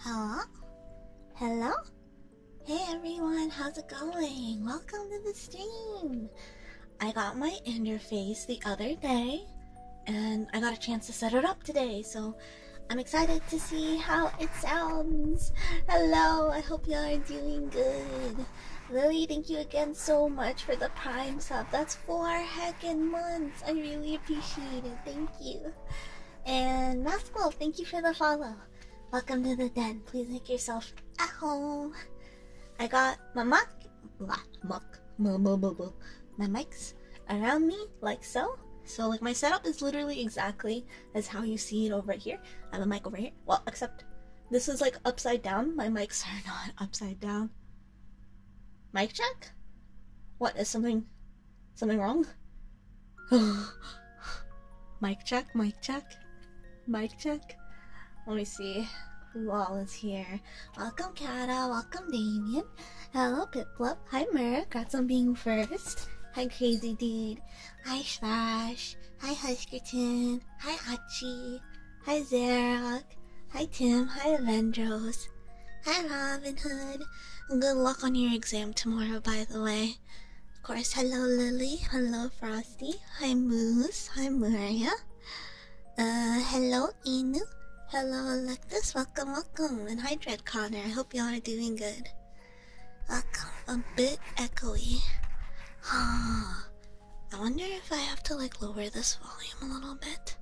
Hello? Hello? Hey everyone, how's it going? Welcome to the stream! I got my interface the other day and I got a chance to set it up today, so I'm excited to see how it sounds. Hello, I hope y'all are doing good. Lily, thank you again so much for the prime sub. That's four heckin' months. I really appreciate it. Thank you. And Mathwell, thank you for the follow. Welcome to the den. Please make yourself at home. I got my muck, muck, my mics around me like so. So like my setup is literally exactly as how you see it over here. I have a mic over here. Well, except this is like upside down. My mics are not upside down. Mic check? What is something Something wrong? mic check, mic check, mic check. Let me see. who all is here. Welcome, Kata. Welcome, Damien. Hello, Piplup. Hi, Merrick. Congrats on being first. Hi, Crazy Dude. Hi, Slash. Hi, Huskerton. Hi, Hachi. Hi, Zarok. Hi, Tim. Hi, Avendros. Hi, Robin Hood. Good luck on your exam tomorrow, by the way. Of course, hello, Lily. Hello, Frosty. Hi, Moose. Hi, Maria. Uh, hello, Inu. Hello, Electus. Welcome, welcome. And hi, Dread Connor. I hope y'all are doing good. Welcome. A bit echoey. I wonder if I have to like lower this volume a little bit.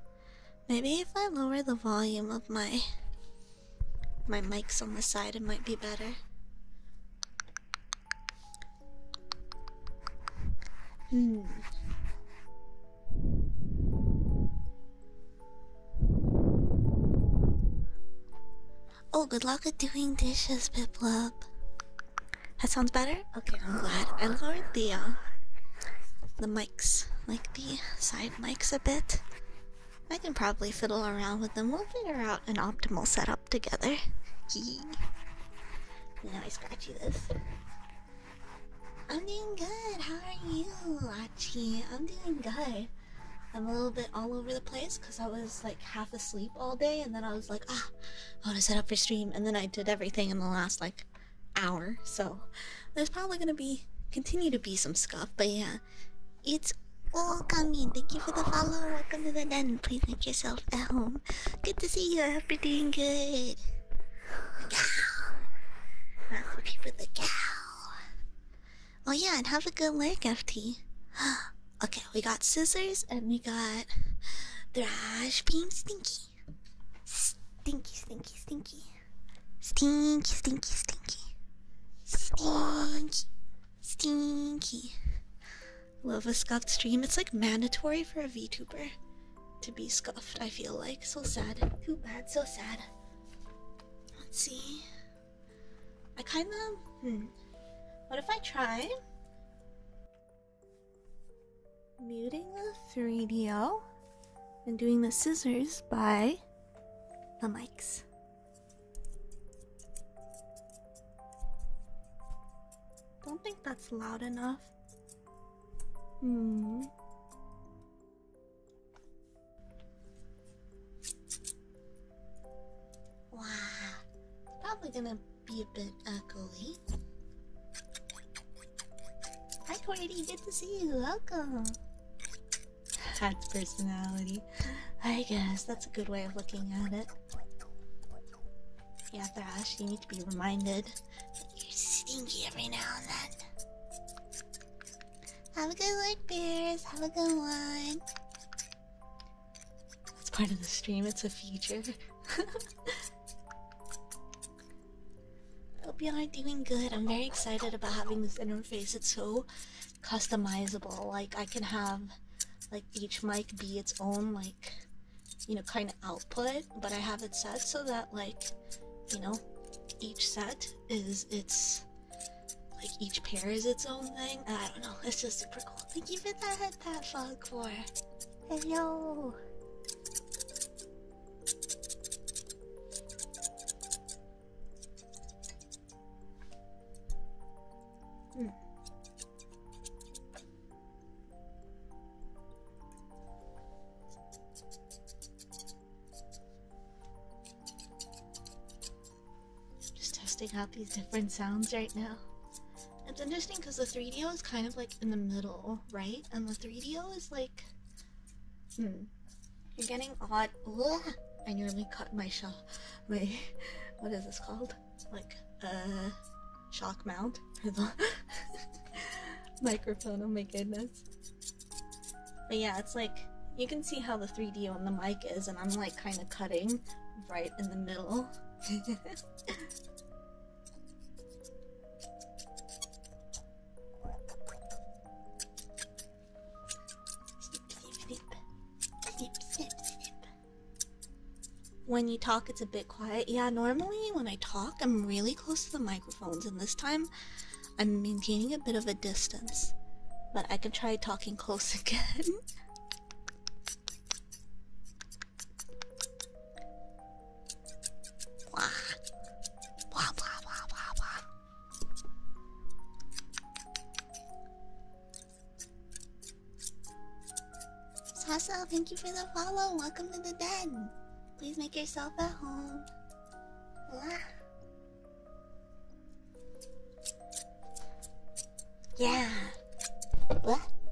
Maybe if I lower the volume of my my mics on the side, it might be better. Hmm. Oh, good luck with doing dishes, Piplup. That sounds better. Okay, I'm glad I lowered the uh, the mics, like the side mics, a bit, I can probably fiddle around with them. We'll figure out an optimal setup together. now I scratch this. I'm doing good. How are you, Lachi? I'm doing good. I'm a little bit all over the place because I was like half asleep all day, and then I was like, ah, I want to set up for stream, and then I did everything in the last like hour. So there's probably gonna be continue to be some scuff, but yeah, it's all coming. Thank you for the follow. Welcome to the den. Please make yourself at home. Good to see you. I hope you're doing good. The cow. That's the people. The cow. Oh yeah, and have a good work, FT. okay, we got scissors and we got thrash beam stinky. Stinky, stinky, stinky. Stinky, stinky, stinky. Stinky. Stinky. Love a scuffed stream. It's like mandatory for a VTuber to be scuffed, I feel like. So sad. Too bad, so sad. Let's see. I kinda. Hmm. What if I try? Muting the 3DO and doing the scissors by the mics. Don't think that's loud enough. Hmm. Wow, probably gonna be a bit echoey. Hi, Cordy. Good to see you. Welcome. Cat's personality. I guess that's a good way of looking at it. Yeah, Thrash, you need to be reminded that you're stinky every now and then. Have a good one, Bears. Have a good one. That's part of the stream, it's a feature. Hope you all are doing good. I'm very excited about having this interface. It's so customizable. Like I can have like each mic be its own like you know kind of output, but I have it set so that like you know each set is its like each pair is its own thing. I don't know. It's just super cool. Thank you for that, Pat Fog for. Hello. Hmm. Just testing out these different sounds right now. It's interesting because the 3DO is kind of like in the middle, right? And the 3DO is like. Hmm. You're getting odd. I nearly cut my shock. My what is this called? Like a uh, shock mount for the microphone. Oh my goodness. But yeah, it's like you can see how the 3D on the mic is, and I'm like kind of cutting right in the middle. When you talk, it's a bit quiet. Yeah, normally when I talk, I'm really close to the microphones, and this time I'm maintaining a bit of a distance. But I can try talking close again. Sasa, thank you for the follow. Welcome to the den. Please make yourself at home. Yeah.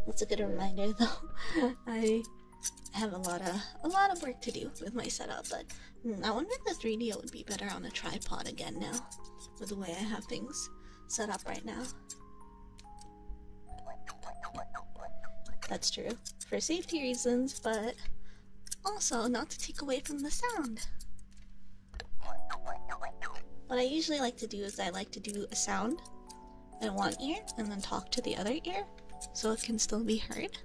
That's a good reminder though. I have a lot of a lot of work to do with my setup, but Hmm, I wonder if the 3D would be better on a tripod again now, with the way I have things set up right now. That's true, for safety reasons, but also not to take away from the sound. What I usually like to do is I like to do a sound in one ear and then talk to the other ear so it can still be heard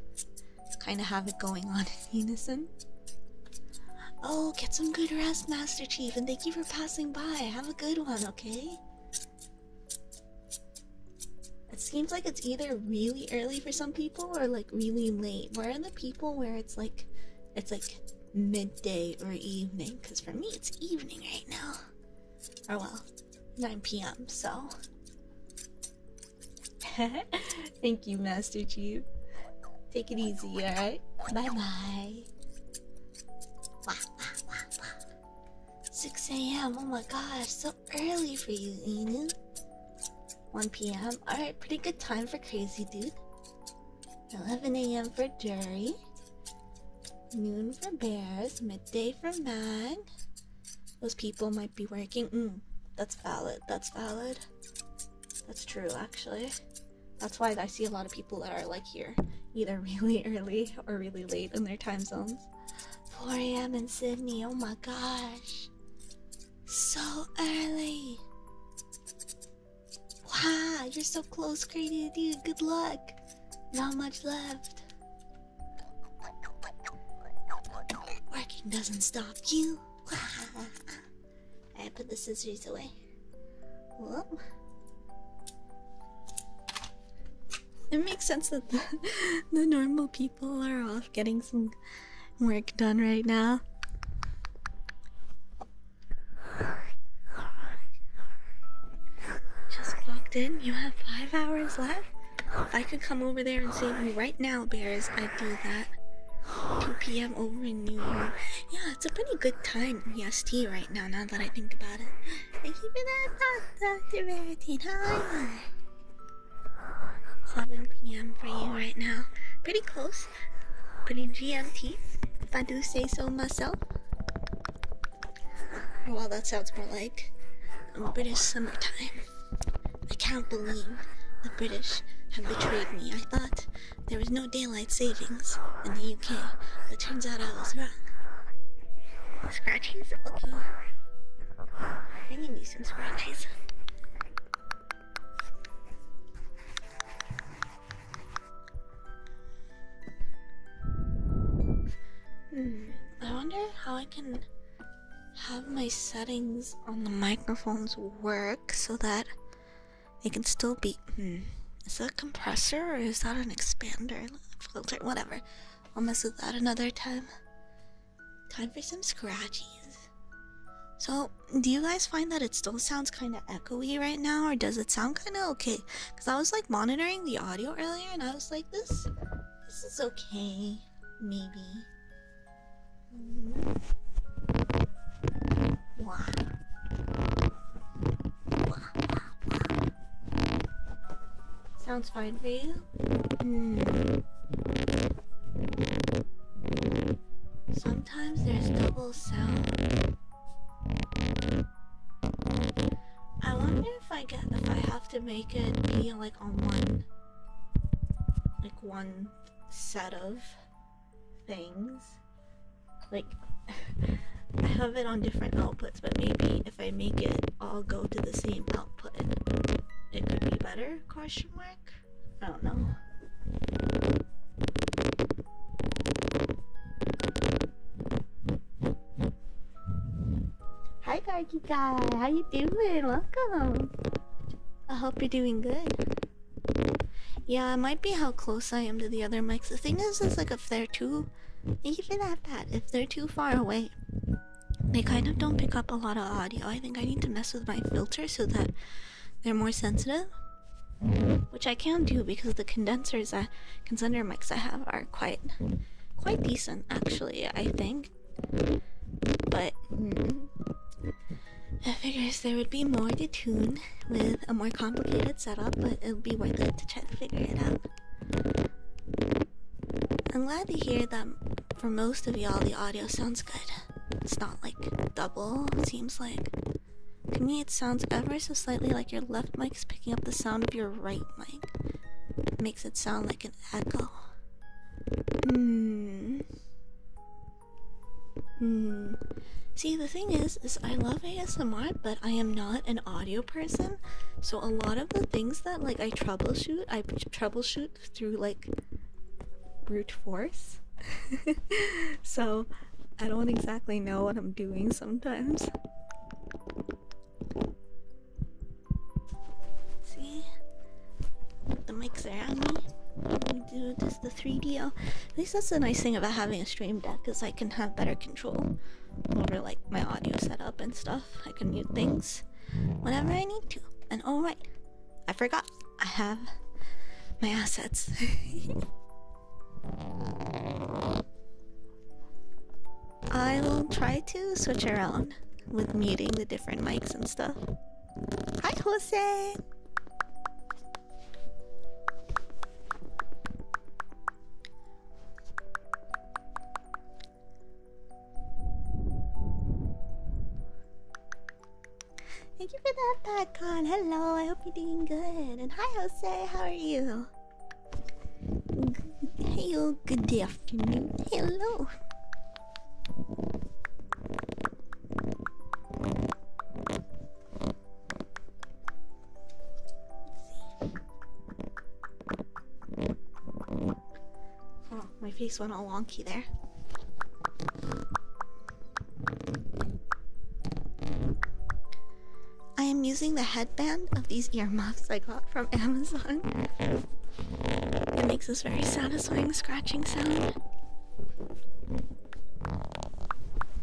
kind of have it going on in unison. Oh, get some good rest, Master Chief, and thank you for passing by. Have a good one, okay? It seems like it's either really early for some people or like really late. Where are the people where it's like it's like midday or evening? Because for me, it's evening right now. Or oh, well, 9 p.m. So Thank you, Master Chief. Take it easy, alright? Bye bye. 6 a.m. Oh my gosh, so early for you, Inu. 1 p.m. Alright, pretty good time for Crazy Dude. 11 a.m. for Jerry. Noon for Bears. Midday for Mag. Those people might be working. Mm, that's valid. That's valid. That's true, actually. That's why I see a lot of people that are like here, either really early or really late in their time zones. 4 a.m. in Sydney, oh my gosh. So early. Wow, you're so close, crazy dude. Good luck. Not much left. Working doesn't stop you. I put the scissors away. Whoop. It makes sense that the, normal people are off getting some work done right now. Just logged in. You have five hours left. I could come over there and save you right now, bears, I do that. 2 p.m. over in New York. Yeah, it's a pretty good time EST right now, now that I think about it. Thank 7 p.m. for you right now. Pretty close. Pretty GMT, if I do say so myself. Well, that sounds more like British summertime. I can't believe the British have betrayed me. I thought there was no daylight savings in the UK, but turns out I was wrong. Scratches? Okay. I can some scratches. Hmm, I wonder how I can have my settings on the microphones work so that it can still be. Hmm. Is that a compressor or is that an expander filter? Whatever. I'll mess with that another time. Time for some scratchies. So, do you guys find that it still sounds kind of echoey right now, or does it sound kind of okay? Because I was like monitoring the audio earlier, and I was like, this, this is okay, maybe. Sounds fine for you. Hmm. Sometimes there's double sound. I wonder if I get if I have to make it be like on one, like one set of things. Like, I have it on different outputs, but maybe if I make it all go to the same output, it could be better? Question mark? I don't know. Hi, Gargi guy. How you doing? Welcome. I hope you're doing good. Yeah, it might be how close I am to the other mics. The thing is, is like if they're too, even that bad. if they're too far away, they kind of don't pick up a lot of audio. I think I need to mess with my filter so that they're more sensitive, which I can do because the condensers, I, condenser mics I have are quite, quite decent actually. I think, but. Mm, I figures there would be more to tune with a more complicated setup, but it'll be worth it to try to figure it out. I'm glad to hear that for most of y'all the audio sounds good. It's not like double, it seems like. To me, it sounds ever so slightly like your left mic's picking up the sound of your right mic. It makes it sound like an echo. Hmm. Hmm. See, the thing is, is I love ASMR, but I am not an audio person. So a lot of the things that like I troubleshoot, I troubleshoot through like brute force. so I don't exactly know what I'm doing sometimes. See, the mics are at me do this the 3DO. At least that's the nice thing about having a stream deck is I can have better control over like my audio setup and stuff. I can mute things whenever I need to. And all right, I forgot I have my assets. I will try to switch around with muting the different mics and stuff. Hi, Jose. Thank you for that, PatCon. Hello, I hope you're doing good. And hi, Jose, how are you? Hello, good day, afternoon. Hello. Oh, my face went all wonky there. I am using the headband of these earmuffs I got from Amazon. It makes this very satisfying scratching sound.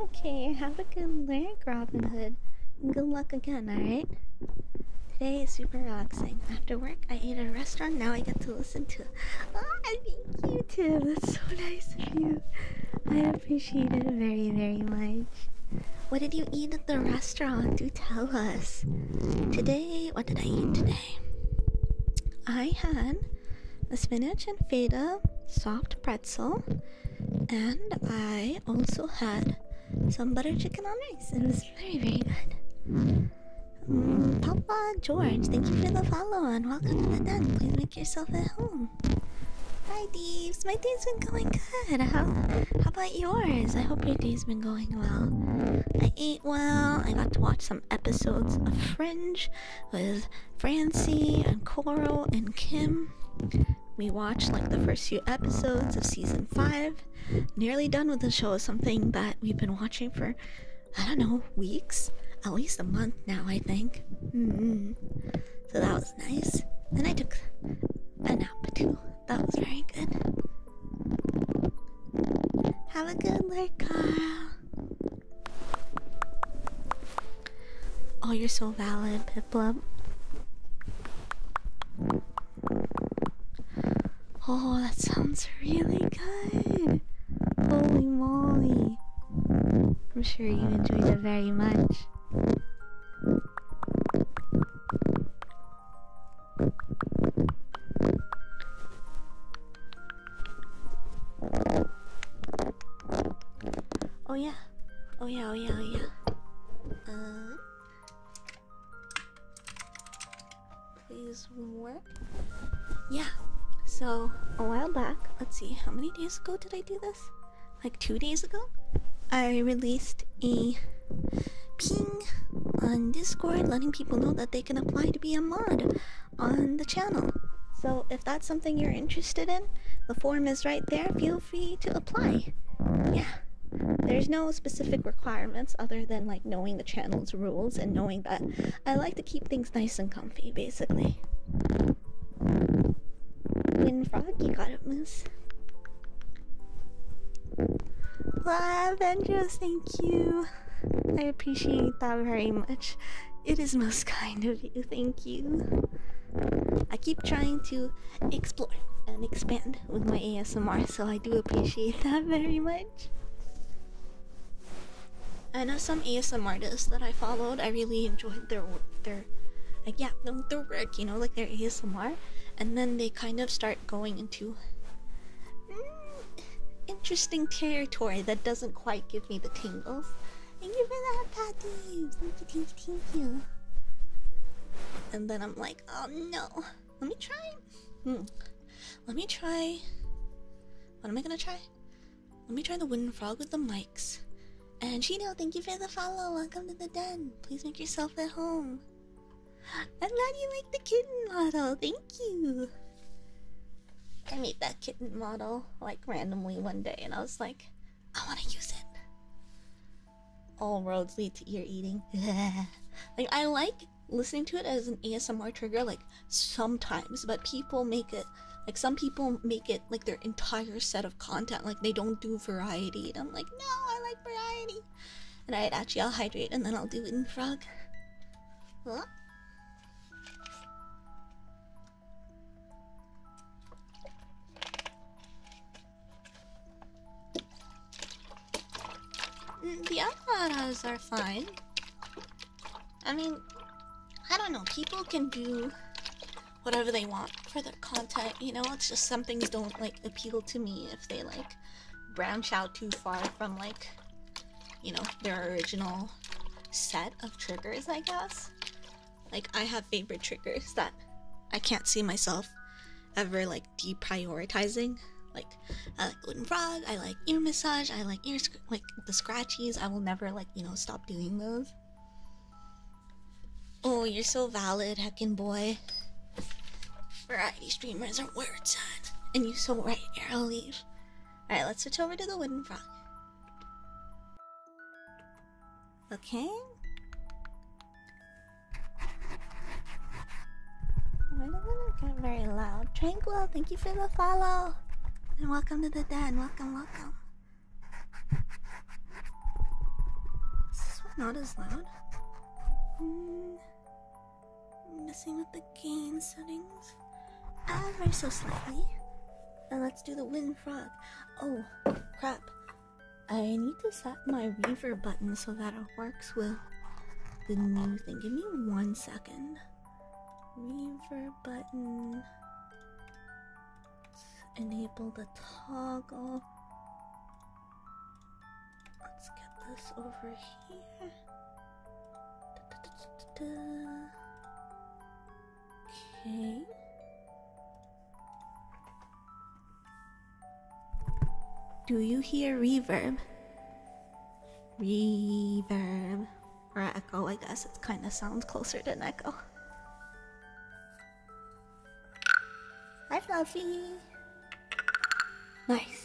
okay, have a good lurk, Robin Hood. And good luck again alright? Today is super relaxing. After work, I ate at a restaurant, now I get to listen to Oh, I you too. That's so nice of you. I appreciate it very, very much. What did you eat at the restaurant? Do tell us. Today, what did I eat today? I had a spinach and feta soft pretzel and I also had some butter chicken on rice. It was very, very good. Mm, Papa George, thank you for the follow and welcome to the den. Please make yourself at home. Hi, Deeves. My day's been going good. How, how about yours? I hope your day's been going well. I ate well. I got to watch some episodes of Fringe with Francie and Coral and Kim. We watched like the first few episodes of season five. Nearly done with the show is something that we've been watching for, I don't know, weeks? At least a month now, I think. Mm-hmm. So that was nice. Then I took a nap too. That was very good. Have a good night, Carl. Oh, you're so valid, pip Piplup. Oh, that sounds really good. Holy moly. I'm sure you enjoyed it very much. Oh yeah. Oh yeah, oh yeah, oh yeah. Uh, please, work. Yeah. So a while back, let's see, how many days ago did I do this? Like two days ago, I released a ping on Discord, letting people know that they can apply to be a mod on the channel. So if that's something you're interested in, the form is right there. Feel you free to apply. Yeah. There's no specific requirements other than like knowing the channel's rules and knowing that I like to keep things nice and comfy basically. frog, you got it, Moose. Wow, Avengers, thank you. I appreciate that very much. It is most kind of you, thank you. I keep trying to explore and expand with my ASMR, so I do appreciate that very much. I know some ASMR artists that I followed. I really enjoyed their work, their like yeah, their work. You know, like their ASMR, and then they kind of start going into mm, interesting territory that doesn't quite give me the tingles. Thank you for that, Patty. Thank you, thank you, thank you. And then I'm I'm like, oh no. Let me try. Hmm. Let me try. What am I gonna try? Let me try the wooden frog with the mics. And Chino, thank you for the follow. Welcome to the den. Please make yourself at home. I'm glad you like the kitten model. Thank you. I made that kitten model like randomly one day and I was like, I want to use it all roads lead to ear eating. like I like listening to it as an ASMR trigger, like sometimes, but people make it like some people make it like their entire set of content, like they don't do variety. And I'm like, no, I like variety. And I'd actually I'll hydrate and then I'll do it in frog. The avocados are fine. I mean, I don't know. People can do whatever they want for their content. You know, it's just some things don't like appeal to me if they like branch out too far from like, you know, their original set of triggers. I guess. Like I have favorite triggers that I can't see myself ever like deprioritizing. Like I like Golden Frog, I like ear massage, I like ear like the scratchies. I will never like you know stop doing those. Oh, you're so valid, heckin' boy. Variety streamers are weird, son. And you so right, I'll leave. Alright, let's switch over to the wooden frog. Okay. I don't get very loud. Tranquil, thank you for the follow. And welcome to the den. Welcome, welcome. Is this not as loud? Hmm. messing with the gain settings ever ah, so slightly. And let's do the wind frog. Oh, crap. I need to set my weaver button so that it works with the new thing. Give me one second. Weaver button. enable the toggle. Let's get this over here. Okay. Do you hear reverb? Reverb. Or echo, I guess. It kind of sounds closer than echo. Hi, Fluffy! Nice.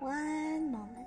One moment.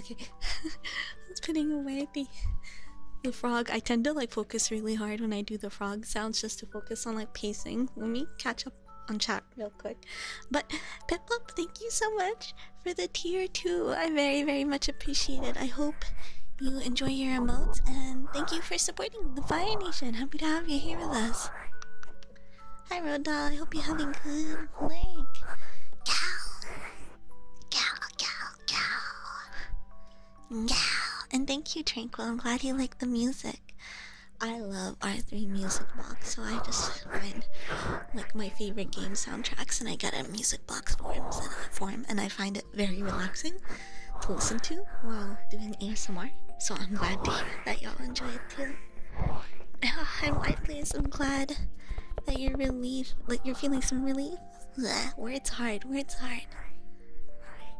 Okay, I was putting away the the frog. I tend to like focus really hard when I do the frog sounds just to focus on like pacing. Let me catch up on chat real quick. But Piplup, thank you so much for the tier two. I very very much appreciate it. I hope you enjoy your emotes and thank you for supporting the Fire Nation. Happy to have you here with us. Hi Rodal. I hope you're having good leg. Cow. Go, go, go. Go. And thank you, Tranquil. I'm glad you like the music. I love R3 Music Box, so I just find like my favorite game soundtracks and I get a music box form, form and I find it very relaxing to listen to while doing ASMR. So I'm glad to hear that y'all enjoy it too. i White Please, I'm glad that you're relieved, like you're feeling some relief. Blah, words hard, words hard.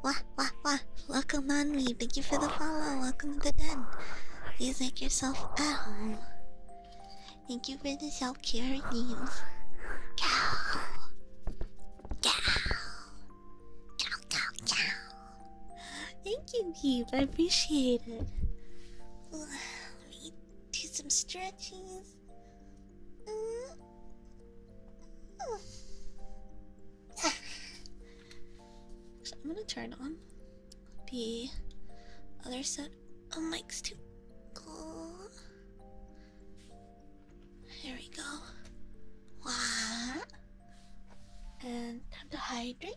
Wah, wah, wah. Welcome on me. Thank you for the follow. Welcome to the den. Please make yourself at home. Thank you for the self care games. Cow. Cow. Cow, cow, cow. Thank you, Keep. I appreciate it we do some stretches. So I'm gonna turn on the other set of mics too. Cool. Here we go. Wah. And time to hydrate.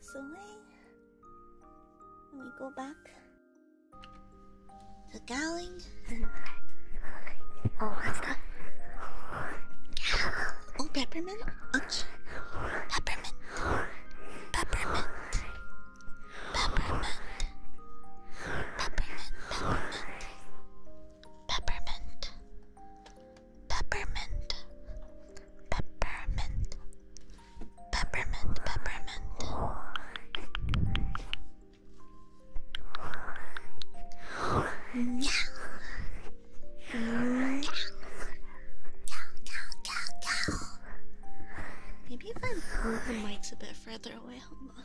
this away. And we go back to Gowling. Oh, what's that? Oh, peppermint? Okay. Peppermint. Peppermint. Peppermint. Peppermint. Peppermint. Peppermint. Peppermint, peppermint, peppermint, peppermint. Yeah. Yeah. Maybe if I move the mics a bit further away, hold on.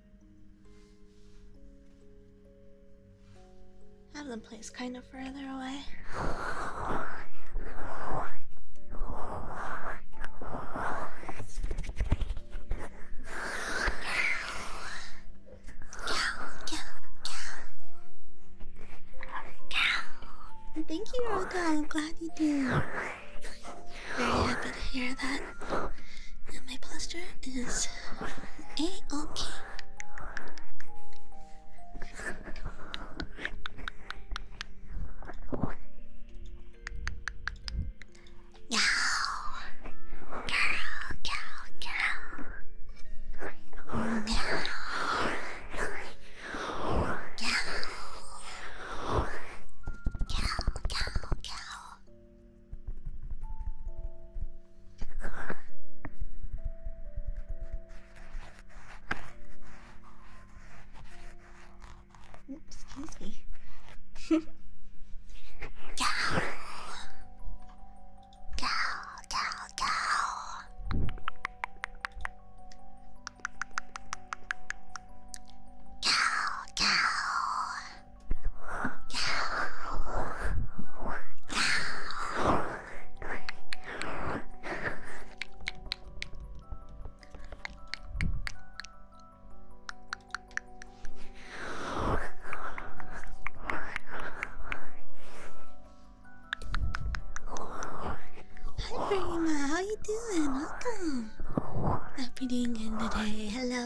I have the place kind of further away. Thank you, Olga. I'm glad you do. Very happy to hear that and my posture is a okay. Yow. Girl, girl, girl. Girl. Girl. Girl, girl, girl. Oops, excuse me. Cow. Cow, cow, cow. Cow, cow. Hi, Prima. How you doing? Welcome. Happy you're doing good today. Hello.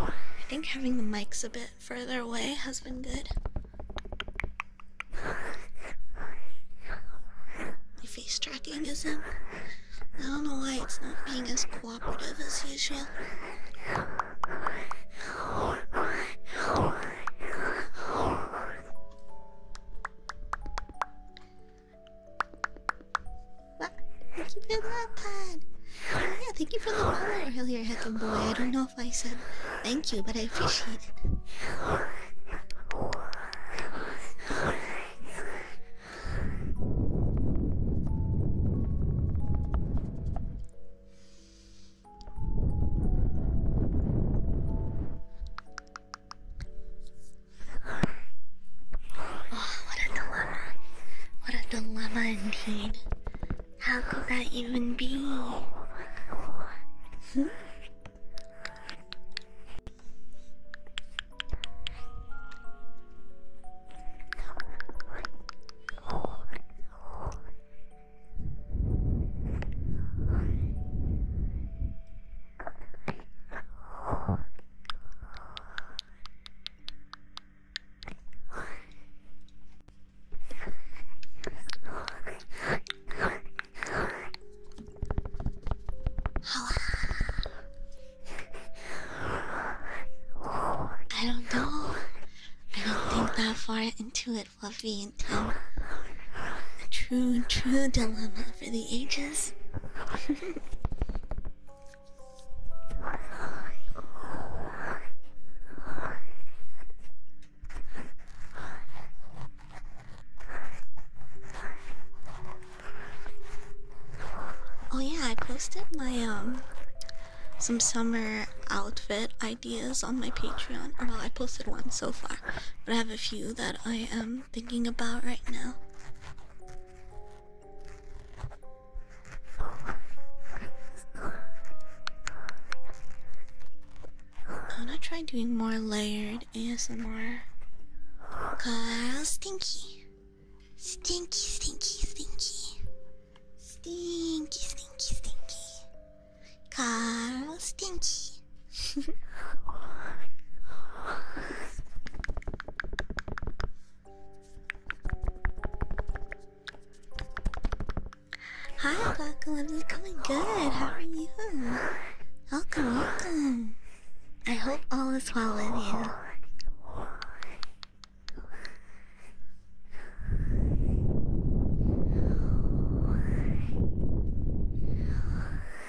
I think having the mics a bit further away has been good. My face tracking isn't. I don't know why it's not being as cooperative as usual thank you for that, Pad. Oh, yeah, thank you for the follow earlier, Heckin' Boy. I don't know if I said thank you, but I appreciate it. Oh, what a dilemma. What a dilemma indeed. How could that even be? I do don't know. I don't think that far into it, Fluffy, until a true, true dilemma for the ages. oh yeah, I posted my um some summer outfit ideas on my Patreon. Well, I posted one so far, but I have a few that I am um, I'm thinking about right now. I'm gonna try doing more layered ASMR. Cause stinky. Stinky, stinky, stinky. Stinky, stinky, stinky. Carl Stinky. Hi, Buckle. I'm coming good. How are you? Welcome, welcome. I hope all is well with you.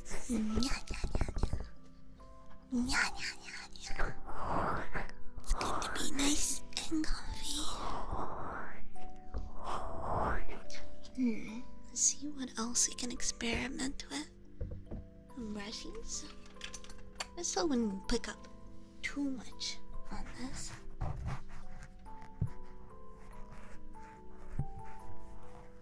It's going to be nice and comfy. Hmm. Let's see what else we can experiment with. Brushes. I still wouldn't pick up too much on this.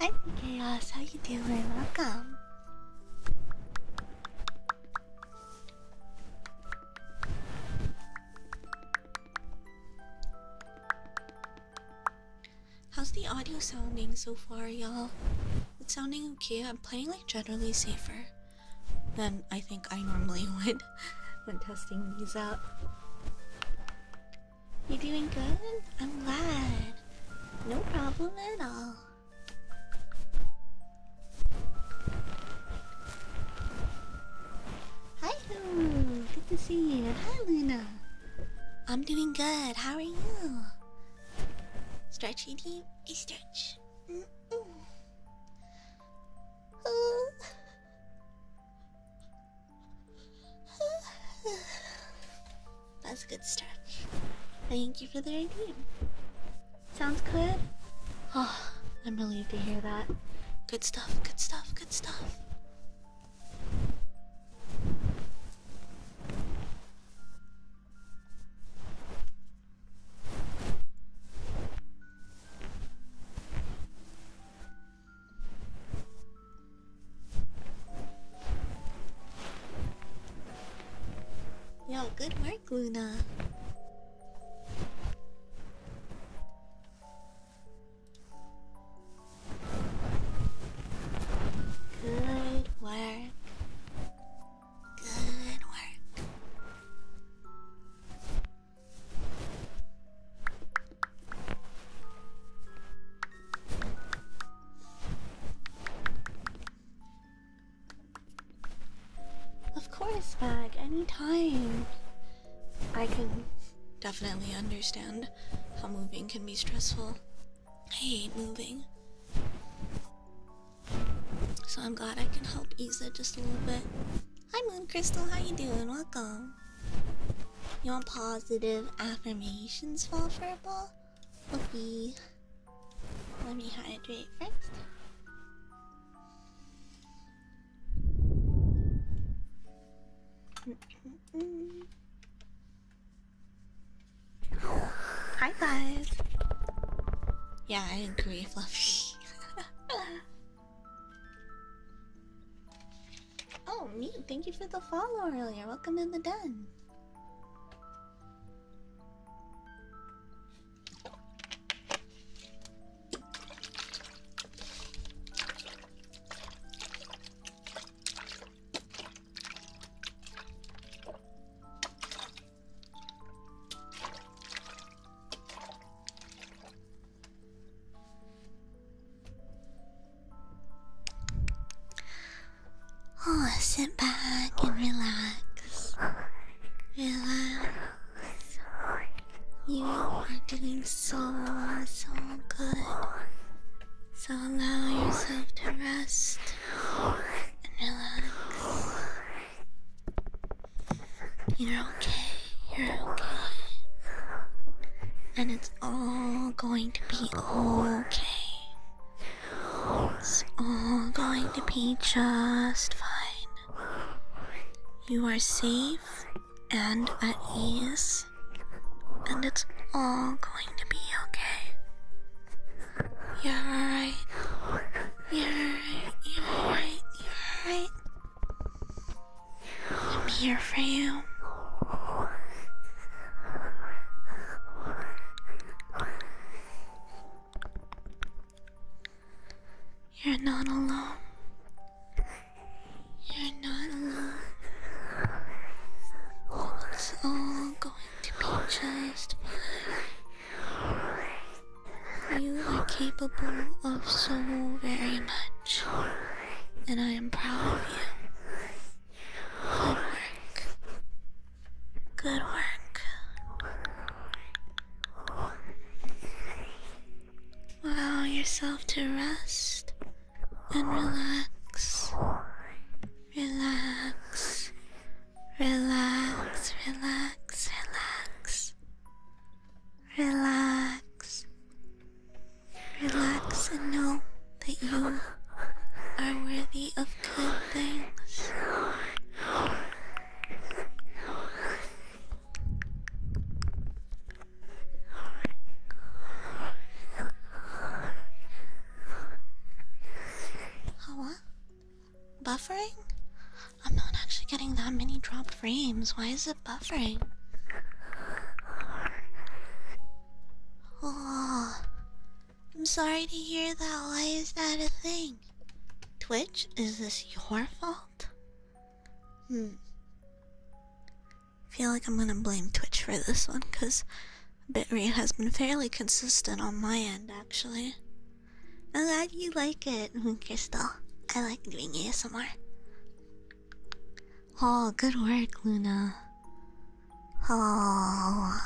Hi Chaos, how you doing? Welcome. How's the audio sounding so far, y'all? It's sounding okay. I'm playing like generally safer than I think I normally would when testing these out. You are doing good? I'm glad. No problem at all. Hi, Lou. Good to see you. Hi, Luna. I'm doing good. How are you? Stretchy deep. A stretch. That's a good start. Thank you for the idea. Sounds good? Oh, I'm relieved to hear that. Good stuff, good stuff, good stuff. Yo, good work, Luna. Good work. Good work. Of course, Bag, anytime. I can definitely understand how moving can be stressful. I hate moving. So I'm glad I can help ease it just a little bit. Hi Moon Crystal, how you doing? Welcome you. want positive affirmations for verbal will be. Let me hydrate first. Hi guys. Yeah, I agree, Fluffy. Oh, me! Thank you for the follow earlier. Welcome to the den. Oh, sit back and relax. Relax. You are doing so, so good. So allow yourself to rest and relax. You're okay, you're okay. And it's all going to be okay. It's all going to be just fine. You are safe and at ease, and it's all going to be okay. You're alright. You're alright. You're alright. You're alright. I'm here for you. You're not alone. You're not alone. It's all going to be just fine. You are capable of so very much, and I am proud of you. Good work. Allow yourself to rest and relax. Relax. Relax, relax, relax. Relax. Relax and know that you are worthy of good things. Oh, uh, what? Buffering? I'm not actually getting that many dropped frames. Why is it buffering? Oh, I'm sorry to hear that. Why is that a thing? Twitch, is this your fault? Hmm. feel like I'm gonna blame Twitch for this one, cause bitrate has been fairly consistent on my end, actually. I'm glad you like it, Crystal. I like doing ASMR. Oh, good work, Luna. Oh.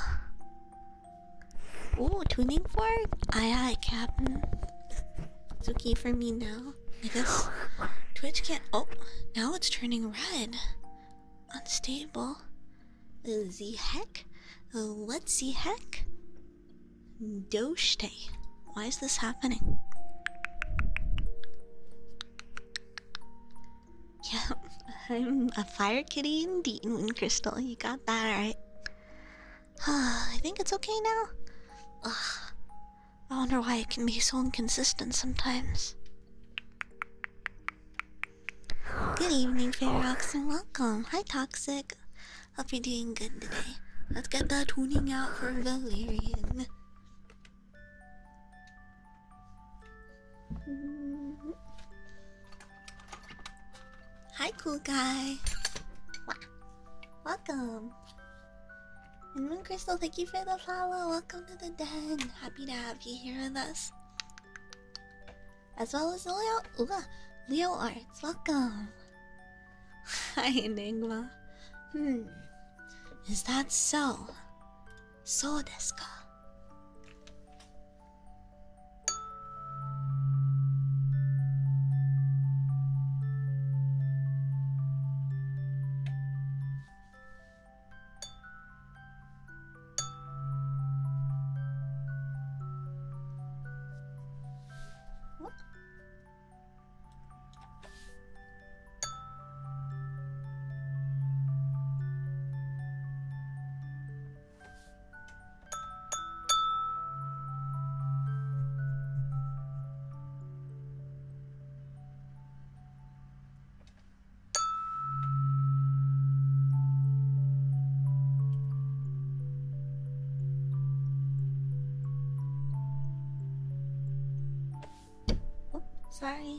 Ooh, tuning fork? Aye ah, aye, Captain. It's okay for me now. I guess Twitch can't. Oh, now it's turning red. Unstable. Uh, the heck? What's the heck? Doshte. Why is this happening? Yeah, I'm a fire kitty indeed, Moon Crystal. You got that right. I think it's okay now. Ugh. I wonder why it can be so inconsistent sometimes. Good evening, Ferox, oh. and welcome. Hi, Toxic. Hope you're doing good today. Let's get that tuning out for Valerian. Mm-hmm. Hi, cool guy. Welcome. And Moon Crystal, thank you for the follow. Welcome to the den. Happy to have you here with us. As well as Leo, Ooh, Leo Arts. Welcome. Hi, Enigma. Hmm. Is that so? そうですか Oops! Oh, sorry.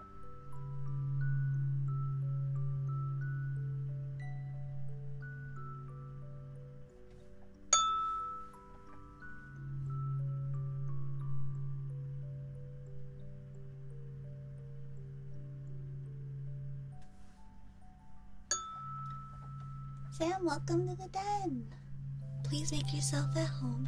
Sam, welcome to the den. Please make yourself at home.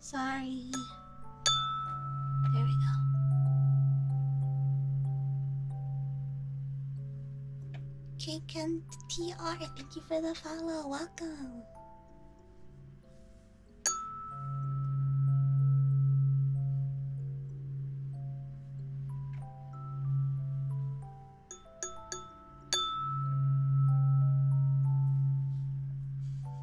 Sorry. There we go. Kaken thank you for the follow. Welcome.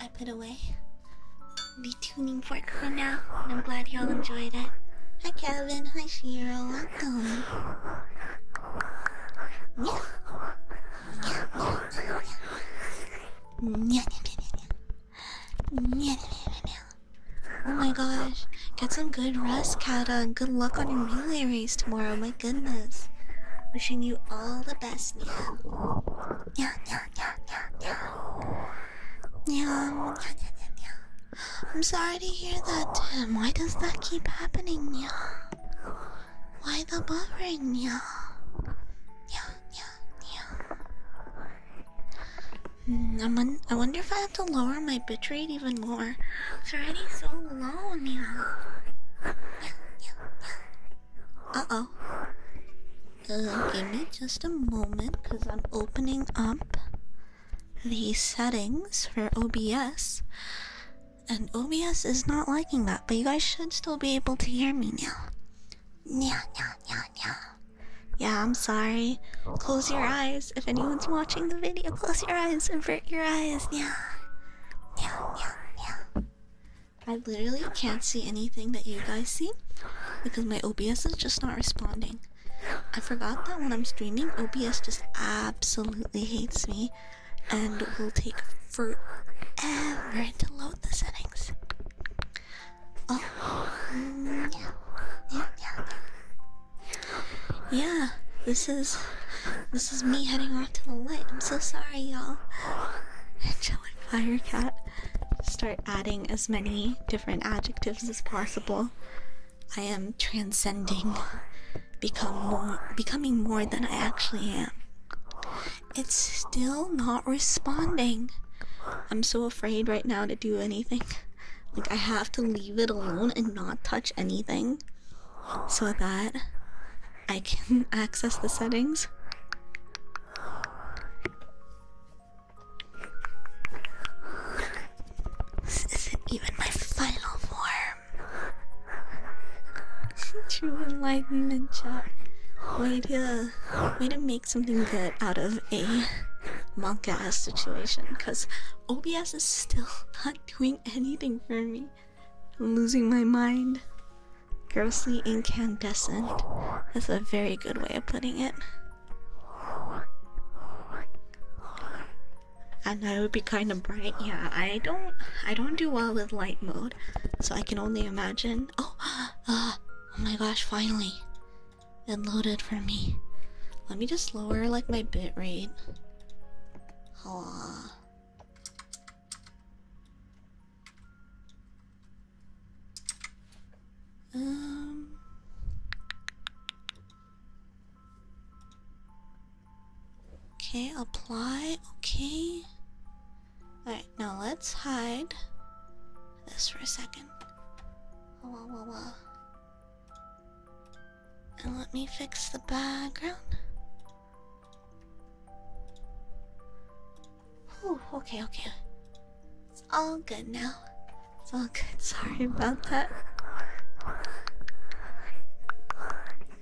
I put away be tuning for it for now, and I'm glad y'all enjoyed it. Hi Kevin, hi Shiro, welcome. Yeah. Oh my gosh, get some good rest, Kata, good luck on your relay race tomorrow. My goodness, wishing you all the best. Yeah, yeah, yeah, yeah, yeah, yeah, yeah, yeah, yeah, yeah, I'm sorry to hear that, Tim. Why does that keep happening, yeah? Why the buffering, yeah? Yeah, yeah, yeah. Mm, I wonder if I have to lower my bitrate even more. It's already so low, yeah. yeah, yeah, yeah. Uh oh. give me just a moment, cause I'm opening up the settings for OBS, and OBS is not liking that, but you guys should still be able to hear me now. Yeah, yeah, yeah, yeah. Yeah, I'm sorry. Close your eyes. If anyone's watching the video, close your eyes. Invert your eyes. Yeah. Yeah, yeah, yeah. I literally can't see anything that you guys see because my OBS is just not responding. I forgot that when I'm streaming, OBS just absolutely hates me and will take forever to load the settings. Oh, yeah. Yeah, yeah, yeah. Yeah, this is this is me heading off to the light. I'm so sorry, y'all. Angelic fire cat. Start adding as many different adjectives as possible. I am transcending, become more, becoming more than I actually am. It's still not responding. I'm so afraid right now to do anything. Like I have to leave it alone and not touch anything, so that I can access the settings. This isn't even my final form. True enlightenment, chat. Way to, way to make something good out of a manga-ass situation. Cause OBS is still not doing anything for me. I'm losing my mind. Grossly incandescent. That's a very good way of putting it and that would be kind of bright. Yeah, I don't, I don't do well with light mode, so I can only imagine. Oh, uh, oh my gosh! Finally, it loaded for me. Let me just lower like my bit rate. Um. Okay, apply. Okay. Alright, now let's hide this for a second. Whoa, whoa, whoa. And let me fix the background. Oh. okay, okay. It's all good now. It's all good. Sorry about that.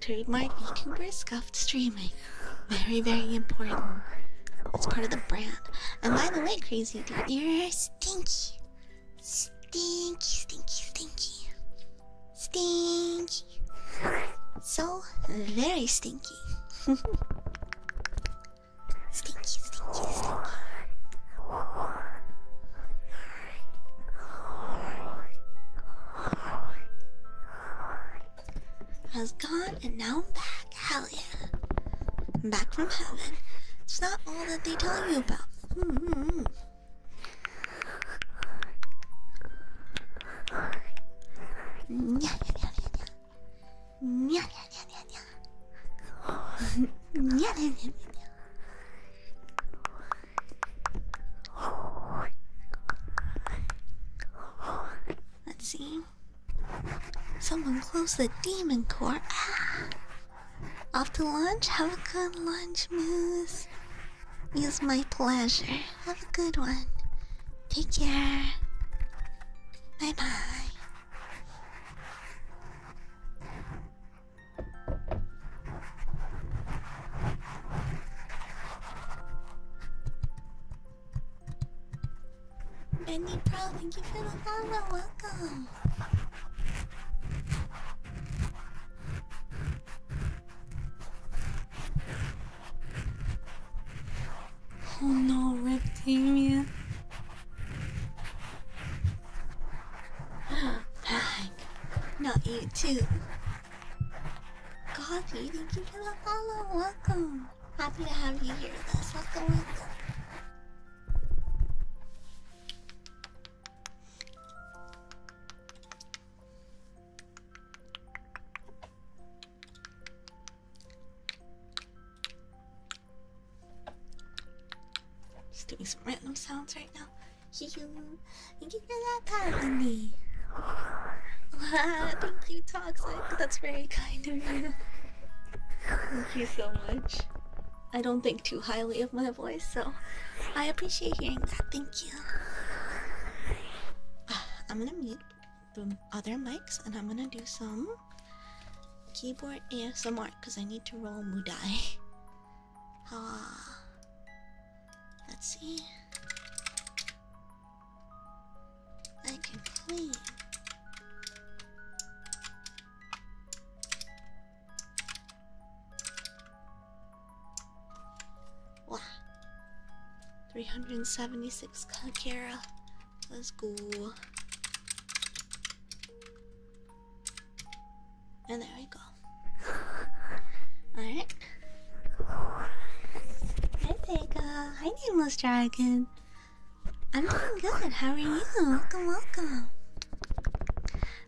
Trademark YouTuber scuffed streaming. Very, very important. It's part of the brand. And by the way, Crazy Dude, you're stinky. Stinky, stinky, stinky. Stinky. So very stinky. stinky, stinky, stinky. I was gone and now I'm back. Hell yeah. back from heaven. It's not all that they tell you about. -hmm. Let's see. Someone close the demon core. Ah! Off to lunch. Have a good lunch, Moose. It's my pleasure. Have a good one. Take care. Bye bye. Bendy Pro, thank you for the follow. Welcome. Oh no, Rip not you too. God, you thank you for the follow. Welcome. Happy to have you here with us. Welcome, welcome. Just doing some random sounds right now. You, thank you for that, Patty. Wow, thank you, Toxic. That's very kind of you. Thank you so much. I don't think too highly of my voice, so I appreciate hearing that. Thank you. Ah, I'm gonna mute the other mics and I'm gonna do some keyboard ASMR because I need to roll Mudai. Ah, let's see. I can clean. Wow. 376 Kakera. Let's go. And there we go. Alright. Hi Vega. Hi Nameless Dragon. I'm doing good. How are you? Welcome, welcome.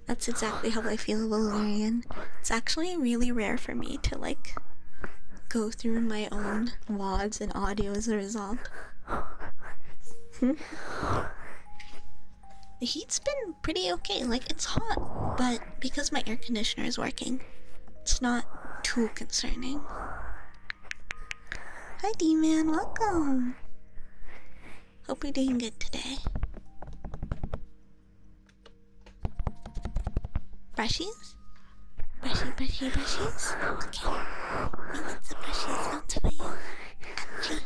That's exactly how I feel, Valerian. It's actually really rare for me to like go through my own WADs and audio as a result. The heat's been pretty okay. Like it's hot, but because my air conditioner is working, it's not too concerning. Hi, D-Man. Welcome. Hope you're doing good today. Brushies? Brushy, brushy, brushies? Okay. I want some brushies out for you. Actually,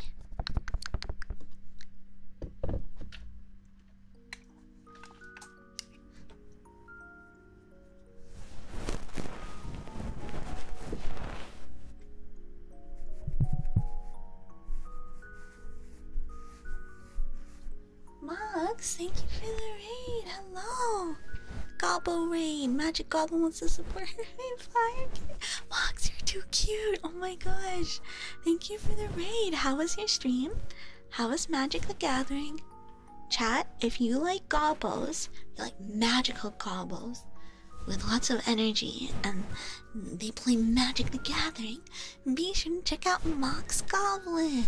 Mugs, thank you for the raid. Hello. Gobble raid. Magic Goblin wants to support her fire. you're too cute. Oh my gosh. Thank you for the raid. How was your stream? How was Magic the Gathering? Chat, if you like goblins, you like magical goblins, with lots of energy and they play Magic the Gathering, be sure to check out Mox Goblin.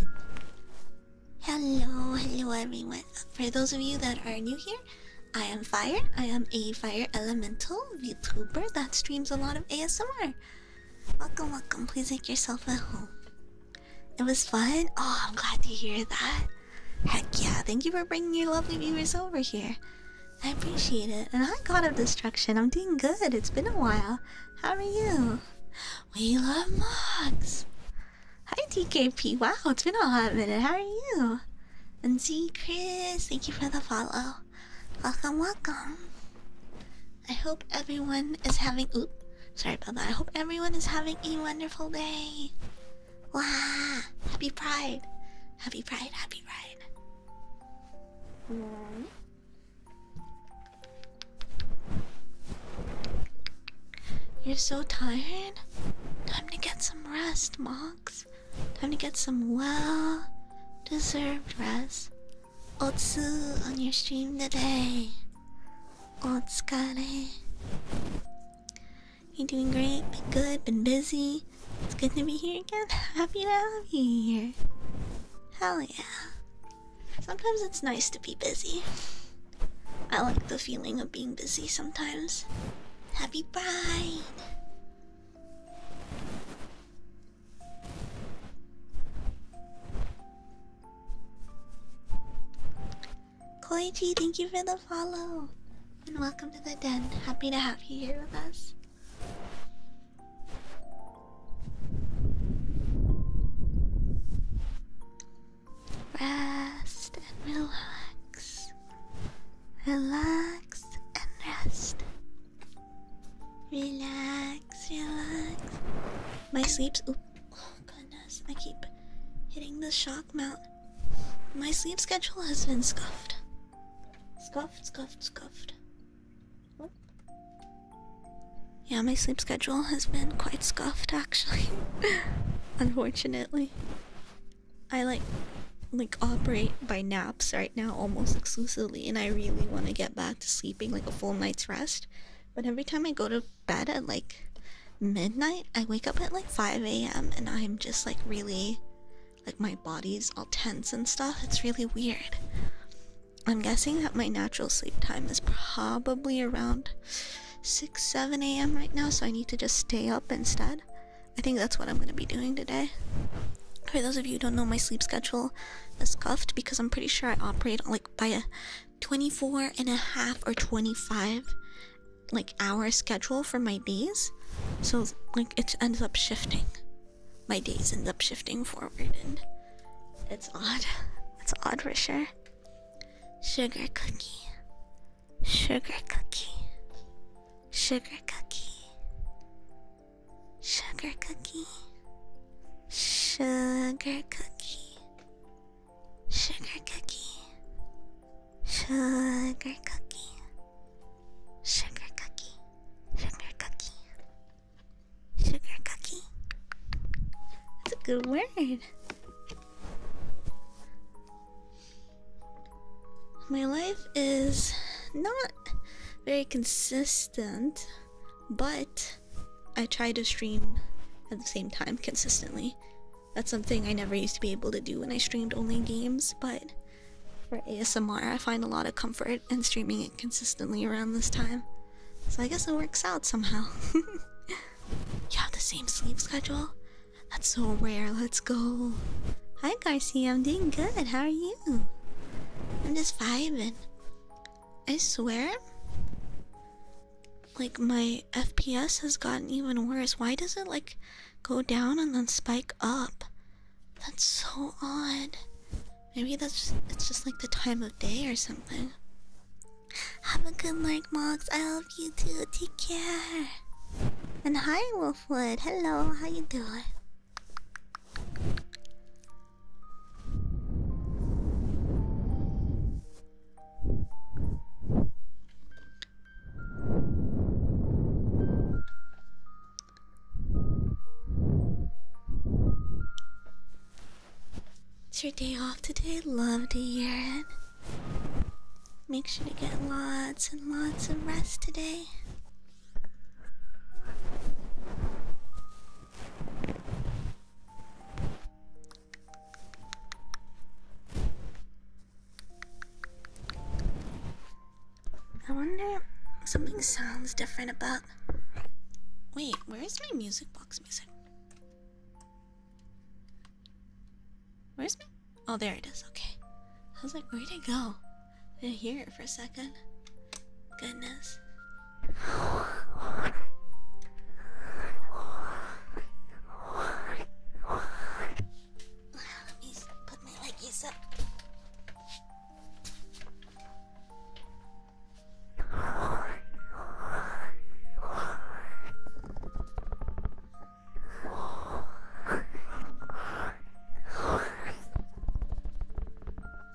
Hello, hello everyone. For those of you that are new here, I am Fire. I am a Fire Elemental VTuber that streams a lot of ASMR. Welcome, welcome. Please make yourself at home. It was fun. Oh, I'm glad to hear that. Heck yeah. Thank you for bringing your lovely viewers over here. I appreciate it. And hi, God of Destruction. I'm doing good. It's been a while. How are you? We love mugs. Hi, DKP. Wow, it's been a hot minute. How are you? And see, Chris. Thank you for the follow. Welcome, welcome. I hope everyone is having oop. Sorry about that. I hope everyone is having a wonderful day. Wah! Happy Pride! Happy Pride! Happy Pride! You're so tired? Time to get some rest, Mox. Time to get some well deserved rest. Old Otsu on your stream today. Old Scotty, You doing great? Been good, been busy. It's good to be here again. Happy to have you here. Hell yeah. Sometimes it's nice to be busy. I like the feeling of being busy sometimes. Happy Pride! Koichi, thank you for the follow. And welcome to the den. Happy to have you here with us. Rest and relax. Relax and rest. Relax, relax. My sleeps. Oop. Oh goodness, I keep hitting the shock mount. My sleep schedule has been scuffed. Scuffed, scuffed, scuffed. Yeah, my sleep schedule has been quite scuffed actually. Unfortunately. I like like operate by naps right now almost exclusively and I really want to get back to sleeping like a full night's rest. But every time I go to bed at like midnight, I wake up at like 5 a.m. and I'm just like really like my body's all tense and stuff. It's really weird. I'm guessing that my natural sleep time is probably around 6 7 a.m. right now, so I need to just stay up instead. I think that's what I'm gonna be doing today. For those of you who don't know, my sleep schedule is cuffed because I'm pretty sure I operate like by a 24 and a half or 25 like hour schedule for my days. So like it ends up shifting. My days end up shifting forward and it's odd. It's odd for sure. Sugar cookie. Sugar cookie. Sugar cookie. Sugar cookie, sugar cookie, sugar cookie, sugar cookie, sugar cookie, sugar cookie, sugar cookie. That's a good word. My life is not very consistent, but I try to stream at the same time consistently. That's something I never used to be able to do when I streamed only games, but for ASMR, I find a lot of comfort in streaming it consistently around this time. So I guess it works out somehow. you have the same sleep schedule? That's so rare, let's go. Hi Garcia, I'm doing good, how are you? I'm just vibing. I swear. Like my FPS has gotten even worse. Why does it like go down and then spike up? That's so odd. Maybe that's it's just like the time of day or something. Have a good night, Mox. I love you too. Take care. And hi, Wolfwood. Hello. How you doing? It's your day off today. Love to hear it. Make sure to get lots and lots of rest today. I wonder something sounds different about. Wait, where is my music box music? Where's my? Oh, there it is. Okay. I was like, where'd go? didn't hear it for a second. Goodness. put my leggies up.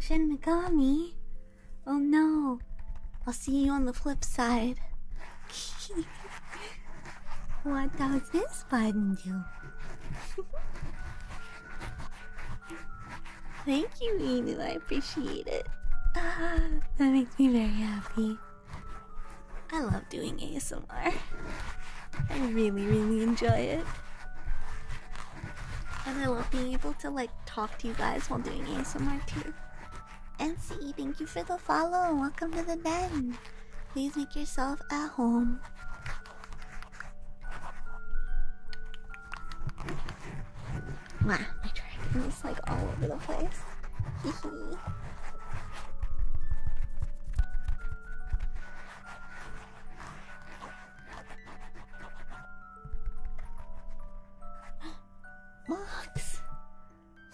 Shin Megami. Oh no. I'll see you on the flip side. what does this button do? Thank you, Inu. I appreciate it. That makes me very happy. I love doing ASMR. I really, really enjoy it. And I love being able to like talk to you guys while doing ASMR too. NCE, thank you for the follow. and Welcome to the den. Please make yourself at home. Wow, my dragon is like all over the place. Max!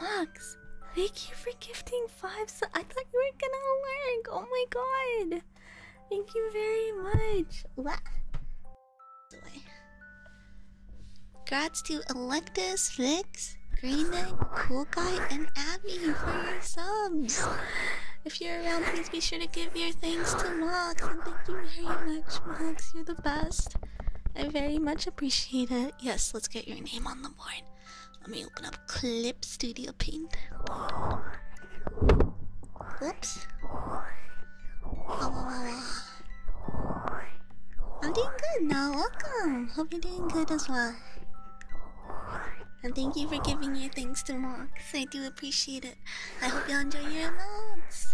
Max! Thank you for gifting five so I thought you were gonna work! Oh my god! Thank you very much! What? Congrats to Electus, Vix, Green Knight, Cool Guy, and Abby for your subs. If you're around, please be sure to give your thanks to Max. And thank you very much, Max. You're the best. I very much appreciate it. Yes, let's get your name on the board. Let me open up Clip Studio Paint. Whoops. I'm doing good now. Welcome. Hope you're doing good as well. And thank you for giving your thanks to Mox. I do appreciate it. I hope you enjoy your emotes.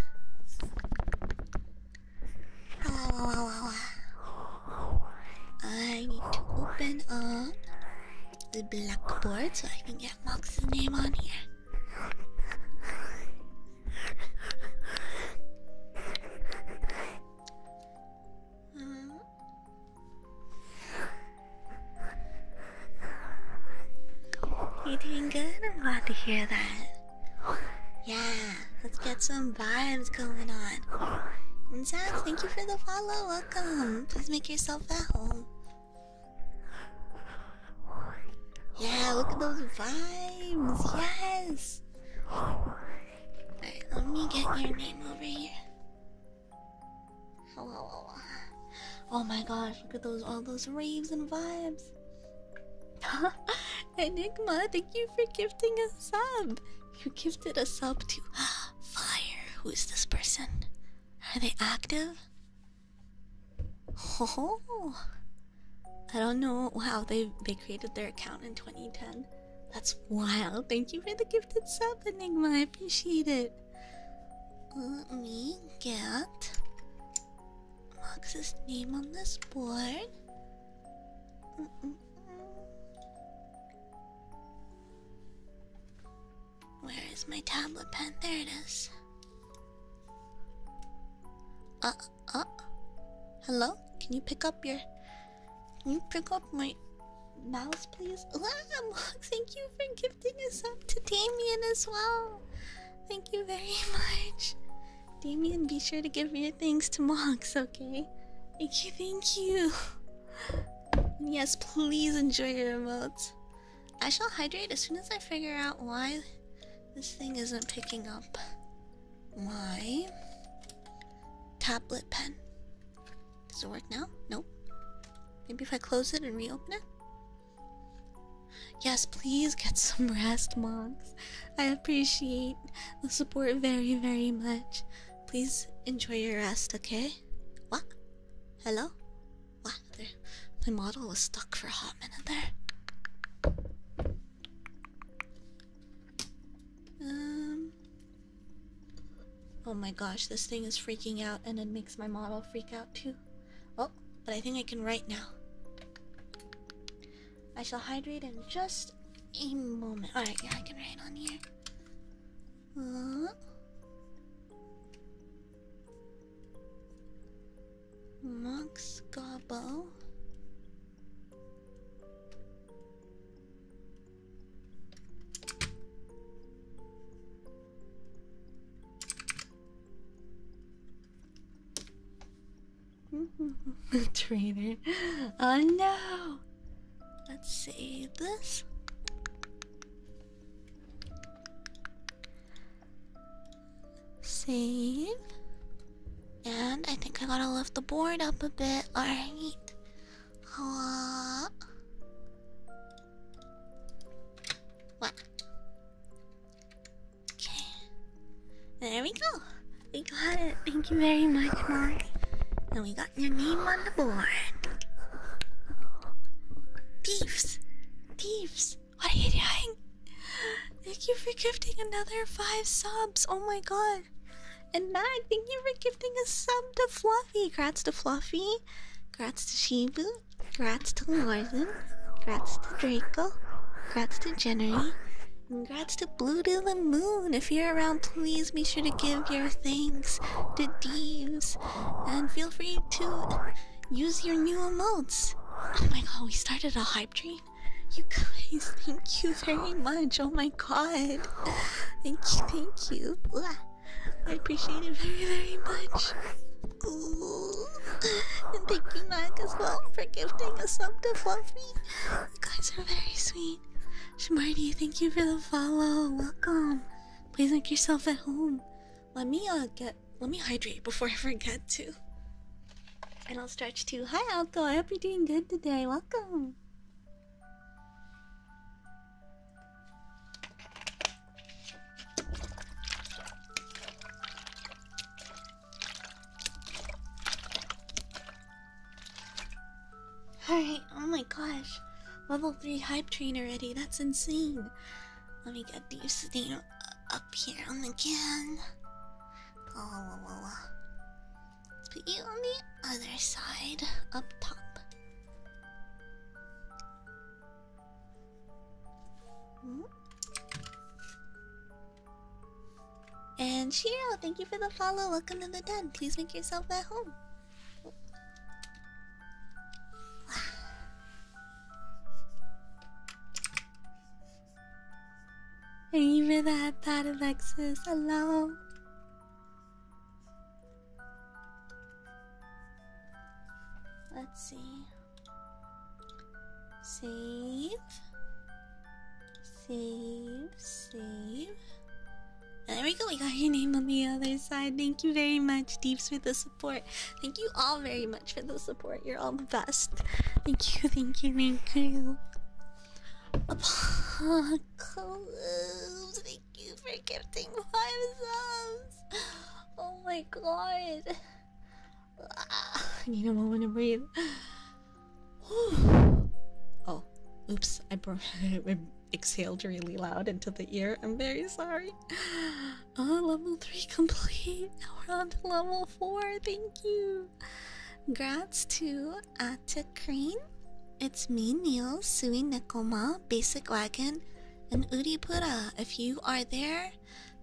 I need to open up the blackboard so I can get Mox's name on here. You're doing good. I'm glad to hear that. Yeah, let's get some vibes going on. Zach, thank you for the follow. Welcome. Please make yourself at home. Yeah, look at those vibes. Yes. Alright, let me get your name over here. Oh my gosh, look at those all those raves and vibes. Enigma, thank you for gifting a sub. You gifted a sub to Fire. Who is this person? Are they active? Oh, I don't know how they they created their account in 2010. That's wild. Thank you for the gift. sub, Enigma. I appreciate it. Let me get Mox's name on this board. Where is my tablet pen? There it is. Uh, uh. Hello? Can you pick up your you pick up my mouse, please? Thank you for gifting us up to Damien as well. Thank you very much. Damien, be sure to give your thanks to Mox, okay? Thank you, thank you. Yes, please enjoy your emotes. I shall hydrate as soon as I figure out why this thing isn't picking up my tablet pen. Does it work now? Nope. Maybe if I close it and reopen it? Yes, please get some rest, monks. I appreciate the support very, very much. Please enjoy your rest, okay? What? Hello? What? My model was stuck for a hot minute there. Um, Oh my gosh, this thing is freaking out and it makes my model freak out too. Oh, but I think I can write now. I shall hydrate in just a moment. Alright, yeah, I can write on here. Uh, Mox Trainer, Oh no! Let's save this. Save. And I think I gotta lift the board up a bit. Alright. What? Okay. There we go. We got it. Thank you very much, Mark. And we got your name on the board. Thieves! Thieves! What are you doing? Thank you for gifting another five subs. Oh my god god! And Mag, thank you for gifting a sub to Fluffy! Grats to Fluffy, grats to Shibu, grats to Lorden, grats to Draco, grats to Jenny, and Congrats to Blue to the Moon! If you're around, please be sure to give your thanks to Deeves. And feel free to use your new emotes. Oh my god, we started a hype train. You guys, thank you very much. Oh my god. Thank you, thank you. I appreciate it very, very much. And thank you, Nog, as well, for gifting us sub to Fluffy. You guys are very sweet. Shamardi, thank you for the follow. Welcome. Please make yourself at home. Let me uh, get let me hydrate before I forget to. And I'll stretch too. Hi Alco, I hope you're doing good today. Welcome. Alright, oh my gosh. Level 3 hype train already, that's insane. Let me get these things up here again. Let's put you on the other side, up top. Mm-hmm. And Shiro, thank you for the follow. Welcome to the den. Please make yourself at home. Thank you for that, of Alexis. Hello. Let's see. Save. Save. Save. there we go. We got your name on the other side. Thank you very much, Deeps, for the support. Thank you all very much for the support. You're all the best. Thank you, thank you, thank you. Apocalypse, thank thank you for gifting five subs. Oh my god. Ah, I need a moment to breathe. oh, oops! I, exhaled really loud into the ear. I'm very sorry. Oh, level three complete. Now we're on to level four. Thank you. Grats to Atacrine. It's me, Neil, Sui Nikoma, Basic Wagon, and Uripura. If you are there,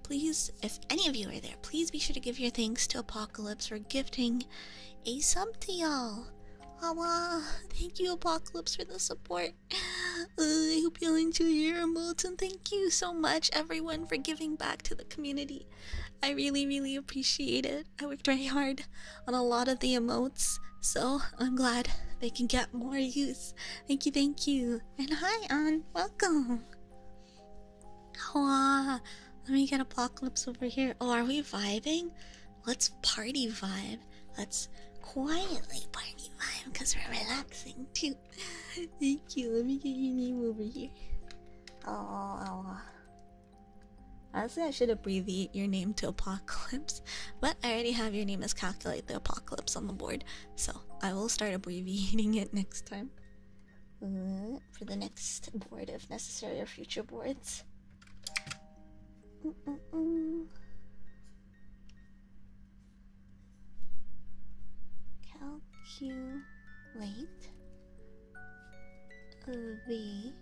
please, if any of you are there, please be sure to give your thanks to Apocalypse for gifting a sub to y'all. Awa, thank you, Apocalypse, for the support. I hope y'all enjoy your emotes, and thank you so much, everyone, for giving back to the community. I really, really appreciate it. I worked very hard on a lot of the emotes, so I'm glad they can get more use. Thank you, thank you. And hi, on welcome. Wow. Let me get apocalypse over here. Oh, are we vibing? Let's party vibe. Let's quietly party vibe because we're relaxing too. Thank you. Let me get your name over here. Oh, Honestly, I should abbreviate your name to Apocalypse, I already have your name as Calculate the Apocalypse on the board, so I will start abbreviating it next time. Uh, for the next board, if necessary, or future boards. Calculate uh, the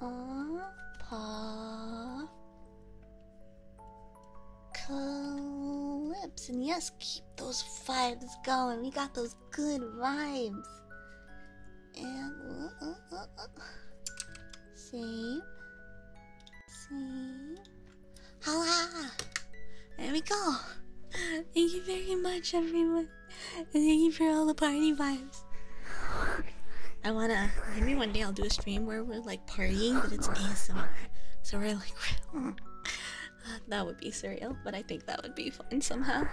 uh, paw. Clips. And yes, keep those vibes going. We got those good vibes. And. Uh, uh, uh, uh. Save. Save. There we go. Thank you very much, everyone. thank you for all the party vibes. I wanna maybe one day I'll do a stream where we're like partying, but it's ASMR, so we're like uh, that would be surreal, but I think that would be fun somehow.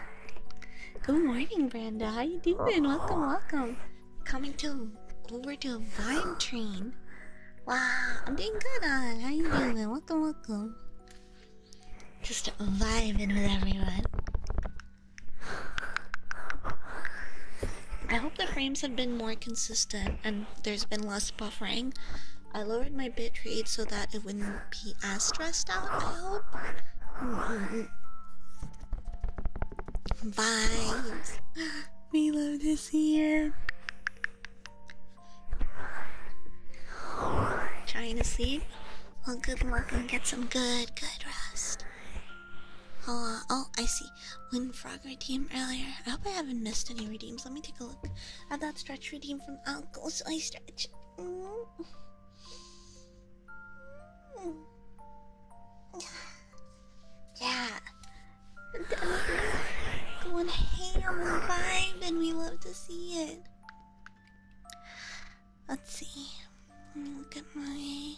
Good morning, Brenda. How you doing? Welcome, welcome. Coming to over to a vibe train. Wow, I'm doing good. On how you doing? Welcome, welcome. Just vibing with everyone. I hope the frames have been more consistent and there's been less buffering. I lowered my bitrate so that it wouldn't be as stressed out, I hope. Vibes. We love this year. Trying to sleep? Well, good luck and get some good, good rest. Oh, uh, oh, I see. Windfrog redeemed earlier. I hope I haven't missed any redeems. Let me take a look at that stretch redeem from Uncle Soy Stretch. Yeah. Going ham and and we love to see it. Let's see. Look at my.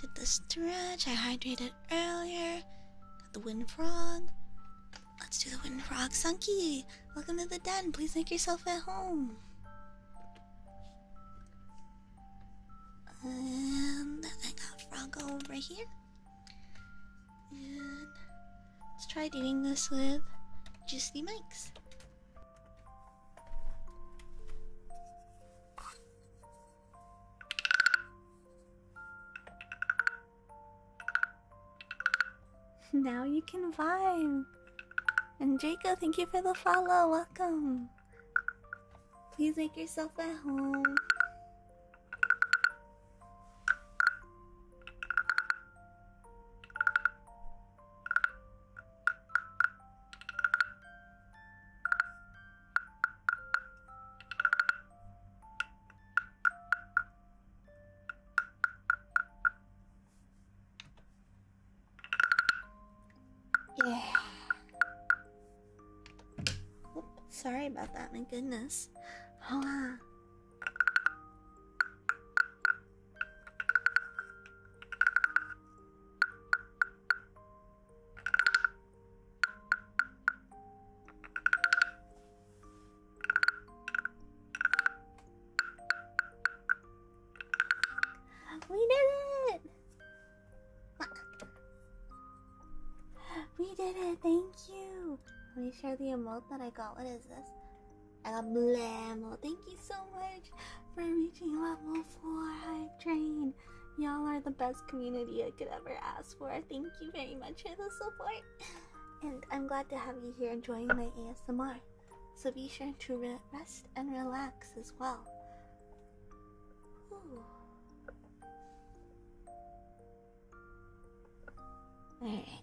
Did the stretch. I hydrated earlier. Got the wind frog. Let's do the wind frog. Sunky, welcome to the den. Please make yourself at home. And I got Froggo over here. And let's try doing this with Juicy Mike's. now you can vibe. And Draco, thank you for the follow. Welcome. Please make yourself at home. Yeah. Oop, sorry about that, my goodness. Hold we did it! We did it! Thank you! Let me share the emote that I got. What is this? I got Oh, Thank you so much for reaching level floor, Hype Y'all are the best community I could ever ask for. Thank you very much for the support. And I'm glad to have you here enjoying my ASMR. So be sure to rest and relax as well. All right.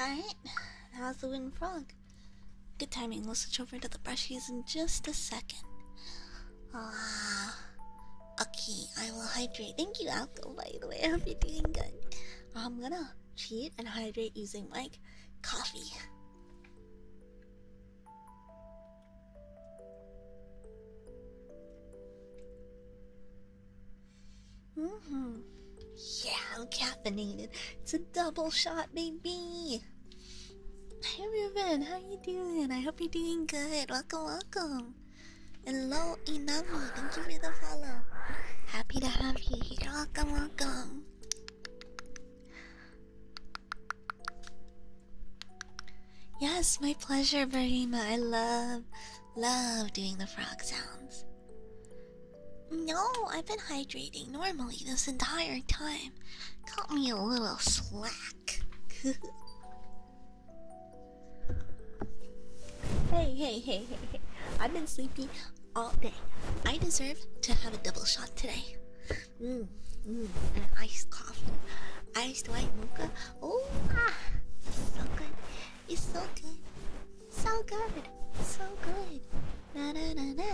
Alright, that the wooden frog. Good timing, we'll switch over to the brushies in just a second. Ah, okay, I will hydrate. Thank you, Alco, by the way. I hope you're doing good. I'm gonna cheat and hydrate using like coffee. hmm. Yeah, I'm caffeinated. It's a double shot, baby. Hi, Ruben. How you doing? I hope you're doing good. Welcome, welcome. Hello, Inami. Thank you for the follow. Happy to have you here. Welcome, welcome. Yes, my pleasure, Barima. I love, love doing the frog sounds. No, I've been hydrating normally this entire time. Caught me a little slack. hey, hey, hey, hey, hey. I've been sleepy all day. I deserve to have a double shot today. Mmm, an iced coffee, iced white mocha. Oh, ah, so good. It's so good. So good. So good. Na na na na.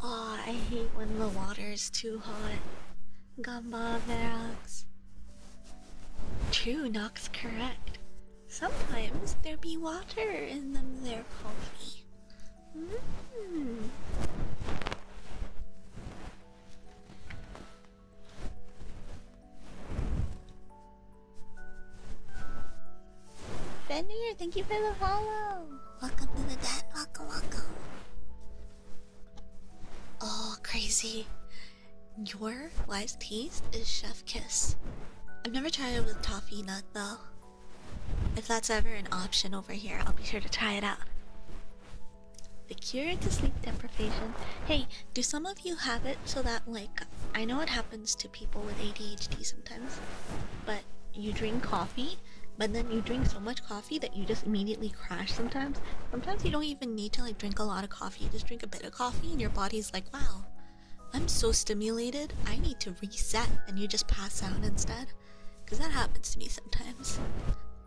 oh, I hate when the water is too hot. Gamba Verox. Two knocks. correct. Sometimes there be water in them there coffee. Mm. Fenrir, thank you for the follow. Welcome to the dead, welcome, welcome. Oh, crazy. Your wise piece is Chef Kiss. I've never tried it with toffee nut though. If that's ever an option over here, I'll be sure to try it out. The cure to sleep deprivation. Hey, do some of you have it so that, like, I know it happens to people with ADHD sometimes, but you drink coffee, but then you drink so much coffee that you just immediately crash sometimes. Sometimes you don't even need to, like, drink a lot of coffee, you just drink a bit coffee and your body's like, wow, I'm so stimulated, I need to reset, and you just pass out instead. Because that happens to me sometimes.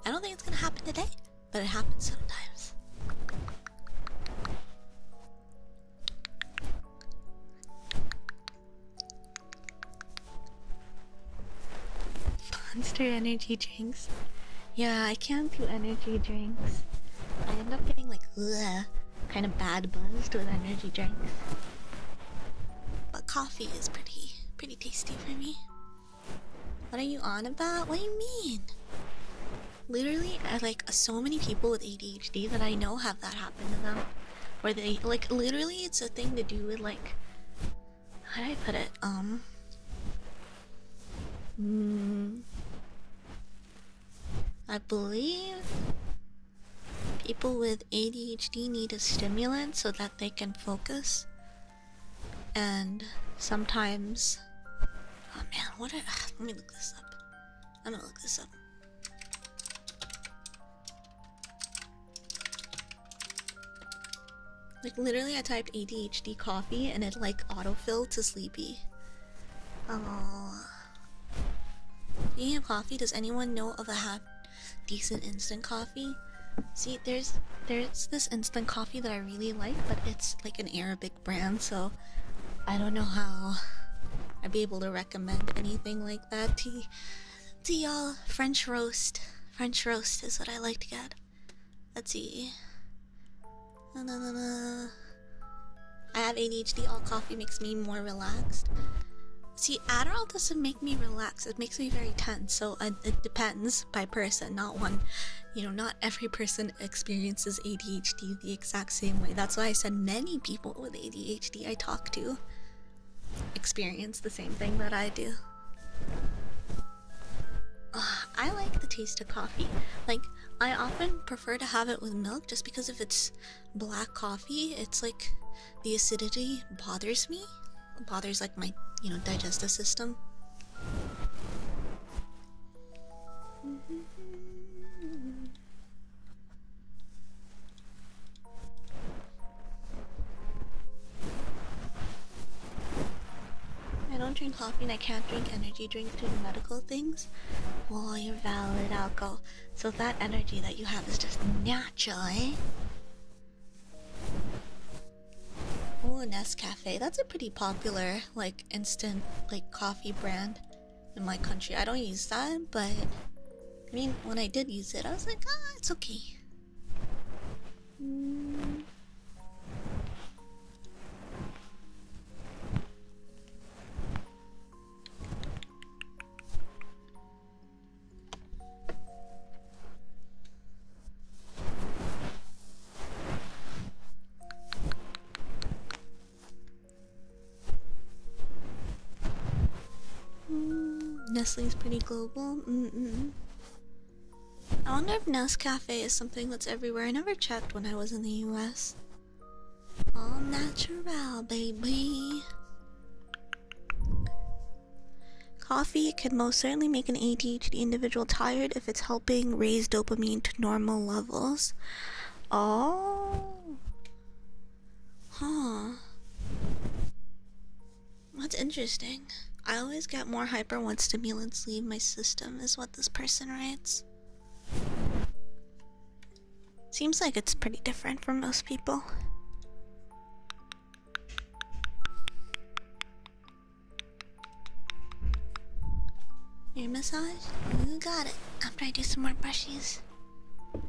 I don't think it's gonna happen today, but it happens sometimes. Monster Energy drinks. Yeah, I can't do energy drinks. I end up getting like kind of bad buzzed with energy drinks. But coffee is pretty pretty tasty for me. What are you on about? What do you mean? Literally, like so many people with ADHD that I know have that happen to them. Where they like literally it's a thing to do with like how do I put it? Um mm, I believe people with ADHD need a stimulant so that they can focus. And sometimes, oh man, what? let me look this up. I'm gonna look this up. Like literally, I typed ADHD coffee and it like autofilled to sleepy. Oh. Do you have coffee? Does anyone know of a half decent instant coffee? See, there's there's this instant coffee that I really like, but it's like an Arabic brand, so I don't know how I'd be able to recommend anything like that to to y'all. French roast, French roast is what I like to get. Let's see. I have ADHD. All coffee makes me more relaxed. See, Adderall doesn't make me relax. It makes me very tense. So it, depends by person, not one. You know, not every person experiences ADHD the exact same way. That's why I said many people with ADHD I talk to experience the same thing that I do. I like the taste of coffee. Like I often prefer to have it with milk just because if it's black coffee, it's like the acidity bothers me. It bothers like my, you know, digestive system. I don't drink coffee and I can't drink energy drinks due to medical things. Well, you're valid, alcohol. So that energy that you have is just natural, eh? Oh, Nescafe. That's a pretty popular, like, instant, like, coffee brand in my country. I don't use that, but I mean, when I did use it, I was like, ah, it's okay. Mm. Mm, Nestle is pretty global. I wonder if Nest Cafe is something that's everywhere. I never checked when I was in the US. All natural, baby. Coffee could most certainly make an ADHD individual tired if it's helping raise dopamine to normal levels. Oh. Huh. That's interesting. I always get more hyper once stimulants leave my system, is what this person writes. Seems like it's pretty different for most people. Your massage? You got it. After I do some more brushes.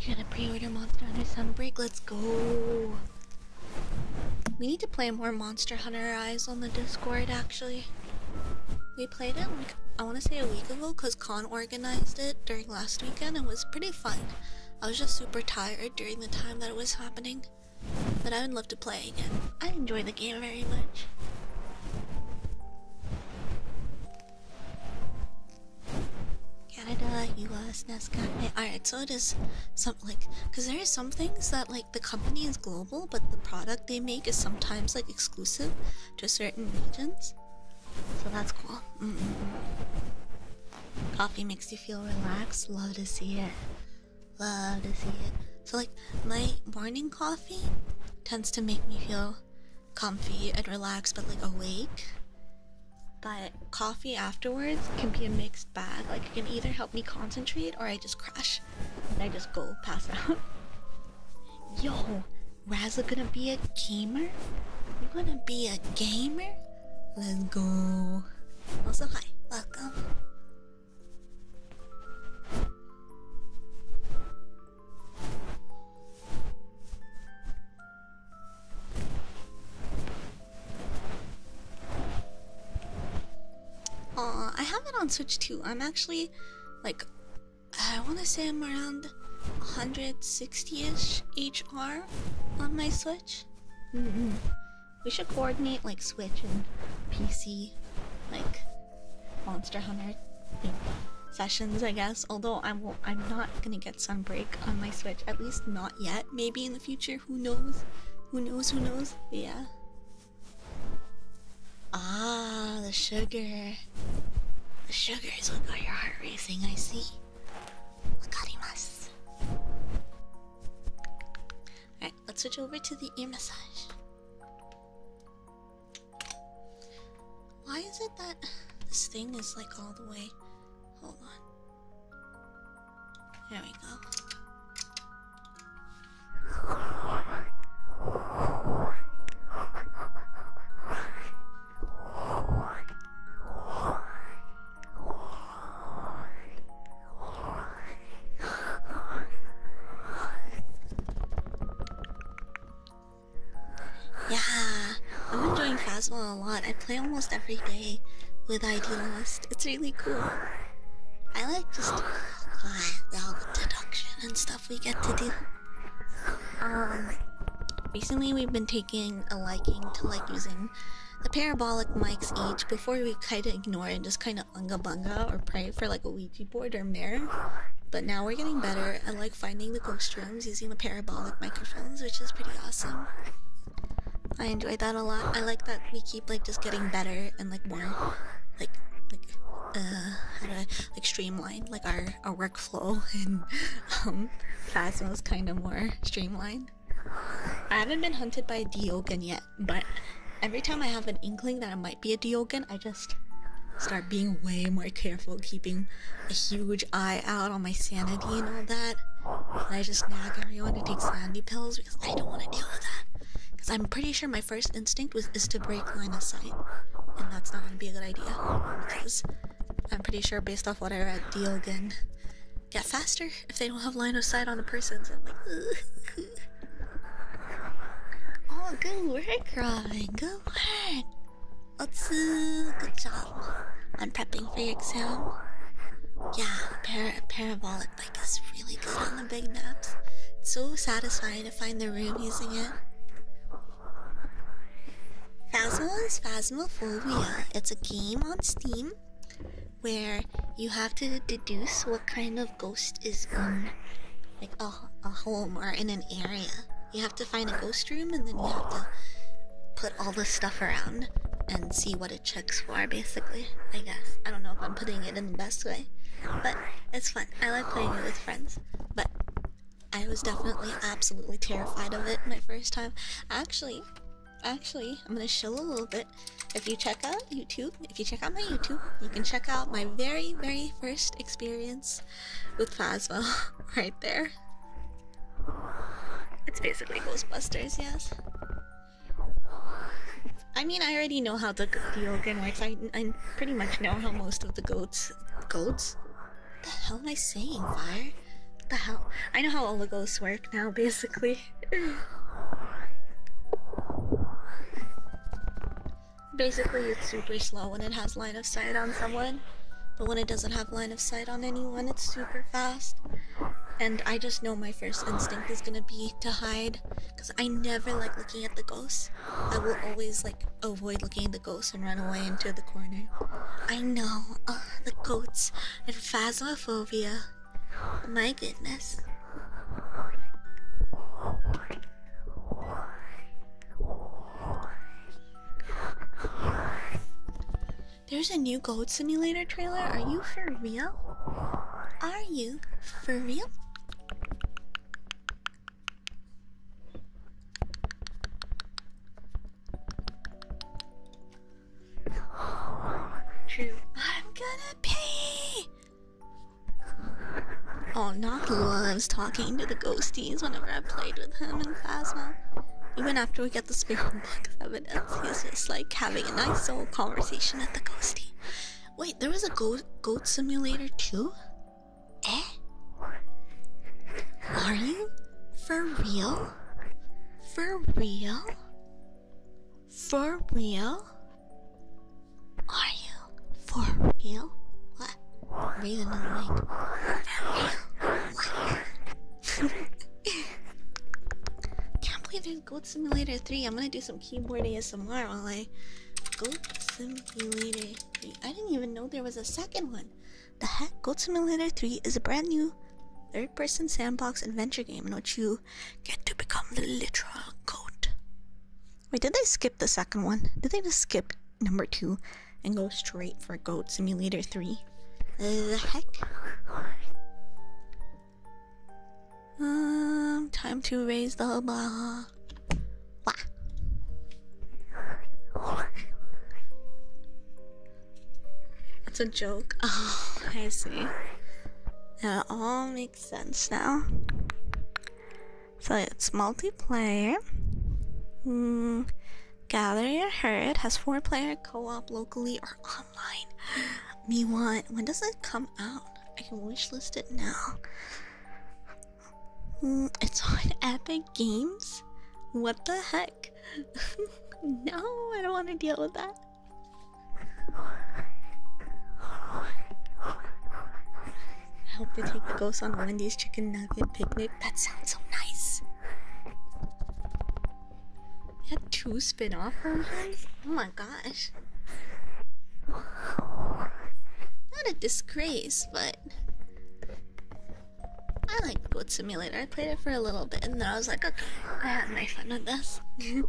You're gonna pre-order Monster Under Summer Break? Let's go! We need to play more Monster Hunter Eyes on the Discord actually. We played it I want to say a week ago because Con organized it during last weekend. It was pretty fun. I was just super tired during the time that it was happening, but I would love to play again. I enjoy the game very much. Canada, U.S., Nescafe. Alright, so it is some like, because there are some things that like like the company is global, but the product they make is sometimes like exclusive to certain regions. So that's cool. Mm-hmm. Coffee makes you feel relaxed. Love to see it. Love to see it. So like my morning coffee tends to make me feel comfy and relaxed, but like awake. But coffee afterwards can be a mixed bag. Like it can either help me concentrate or I just crash and I just go pass out. Yo, Razzle gonna be a gamer? you gonna be a gamer? Let's go. Also, hi, welcome. Aw, uh, I have it on Switch too. I'm actually like, I want to say I'm around 160 ish HR on my Switch. Mm-hmm. We should coordinate like Switch and PC, like Monster Hunter sessions, I guess. Although I will, I'm not gonna get Sunbreak on my Switch, at least not yet. Maybe in the future, who knows? Who knows? Who knows? yeah. Ah, the sugar. The sugar is what got your heart racing, I see. let's switch over to the ear massage. Why is it that this thing is like all the way? Hold on. There we go. Yeah, I'm enjoying Phasma a lot. I play almost every day with ID Lost. It's really cool. I like just all the deduction and stuff we get to do. Um, recently we've been taking a liking to like using the parabolic mics each. Before we kind of ignore it, just kind of unga bunga or pray for like a Ouija board or mirror. But now we're getting better at like finding the ghost rooms using the parabolic microphones, which is pretty awesome. I enjoy that a lot. I like that we keep like just getting better and like more like like uh to like streamline like our our workflow and um was kind of more streamlined. I haven't been hunted by a Diogen yet, but every time I have an inkling that I might be a Diogen, I just start being way more careful, keeping a huge eye out on my sanity and all that. And I just nag everyone to take sanity pills because I don't want to deal with that. Because I'm pretty sure my first instinct was is to break line of sight, and that's not gonna be a good idea because I'm pretty sure based off what I read, Diogen get faster if they don't have line of sight on the person. So I'm like, Ugh. oh, good work, Robin. Good work. Let's uh, good job on prepping for your exam. Yeah, para parabolic bike is really good on the big maps. so satisfying to find the room using it. Phasma is Phasmophobia. It's a game on Steam where you have to deduce what kind of ghost is in like a, a home or in an area. You have to find a ghost room and then you have to put all the stuff around and see what it checks for basically. I guess. I don't know if I'm putting it in the best way. But it's fun. I like playing it with friends. But I was definitely absolutely terrified of it my first time. Actually, actually, I'm gonna show a little bit. If you check out YouTube, if you check out my YouTube, you can check out my very, very first experience with Phasma right there. It's basically Ghostbusters, yes. I mean, I already know how the the organ works. I I pretty much know how most of the goats goats. The hell am I saying, fire? The hell? I know how all the ghosts work now, basically. basically, it's super slow when it has line of sight on someone, but when it doesn't have line of sight on anyone, it's super fast. And I just know my first instinct is gonna be to hide. Because I never like looking at the ghosts. I will always like avoid looking at the ghosts and run away into the corner. I know. Uh, the ghosts and phasmophobia. Oh my goodness. There's a new ghost Simulator trailer. Are you for real? Are you for real? True. I'm gonna pee. Oh, I was talking to the ghosties whenever I played with him in Phasma. Even after we get the spirit box evidence, he's just like having a nice old conversation at the ghostie. Wait, there was a goat goat simulator too? Eh? Are you? For real? For real? For real? Are you? For real? What? Can't believe there's Goat Simulator 3. I'm gonna do some keyboard ASMR while I. Goat Simulator I didn't even know there was a second one. The heck? Goat Simulator 3 is a brand new third person sandbox adventure game in which you get to become the literal goat. Wait, did they skip the second one? Did they just skip number 2 and go straight for Goat Simulator 3? the heck? Um, time to raise the bar that's a joke. Oh, I see. That all makes sense now. So it's multiplayer. Mm, gather your herd has four-player co-op locally or online. Me want. When does it come out? I can wishlist it now. Mm, it's on Epic Games? What the heck? no, I don't want to deal with that. I hope they take the ghost on Wendy's chicken nugget picnic. That sounds so nice. We had two spin off versions? Oh my gosh. Not a disgrace, but I like Goat Simulator. I played it for a little bit and then I was like, okay, I had my fun with this.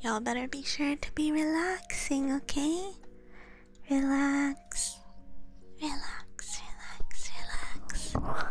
Y'all better be sure to be relaxing, okay? Relax. Relax, relax, relax.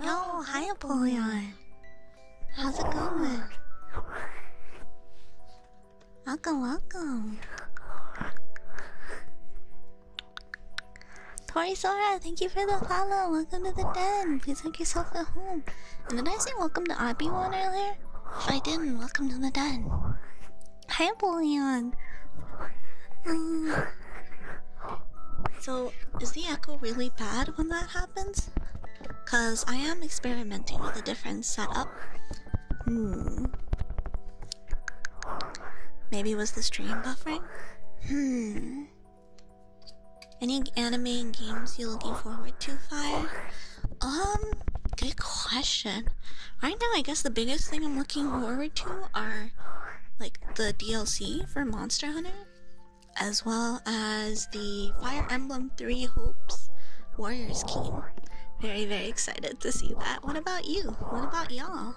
Yo, hi Apollyon. How's it going? Welcome, welcome. Tori Sora, thank you for the follow. Welcome to the den. Please make yourself at home. Did I say welcome to Obi One earlier? I didn't, welcome to the den. Hi, Bullion. Um, so, is the echo really bad when that happens? Cause I am experimenting with a different setup. Hmm. Maybe was the stream buffering? Hmm. Any anime and games you're looking forward to, Fire? Um, good question. Right now, I guess the biggest thing I'm looking forward to are like the DLC for Monster Hunter, as well as the Fire Emblem Three Hopes Warriors game. Very, very excited to see that. What about you? What about y'all?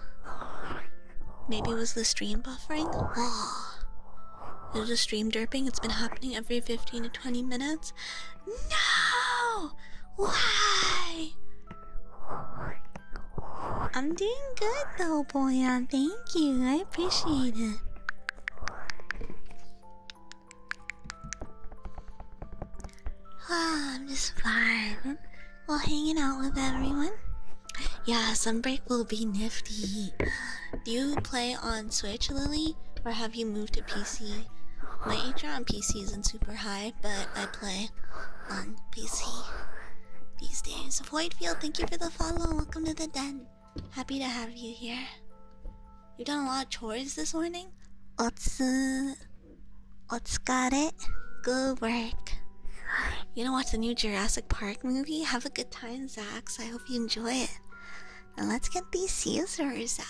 Maybe it was the stream buffering? There's a stream derping. It's been happening every 15 to 20 minutes. No! Why? I'm doing good though, Boyan. Thank you. I appreciate it. Oh, I'm just vibing. while hanging out with everyone. Yeah, some break will be nifty. Do you play on Switch, Lily, or have you moved to PC? My HR on PC isn't super high, but I play on PC these days. Whitefield, thank you for the follow. Welcome to the den. Happy to have you here. You've done a lot of chores this morning. Otsu, otsukare, good work. You gonna watch the new Jurassic Park movie? Have a good time, Zax. I hope you enjoy it. And let's get these scissors out.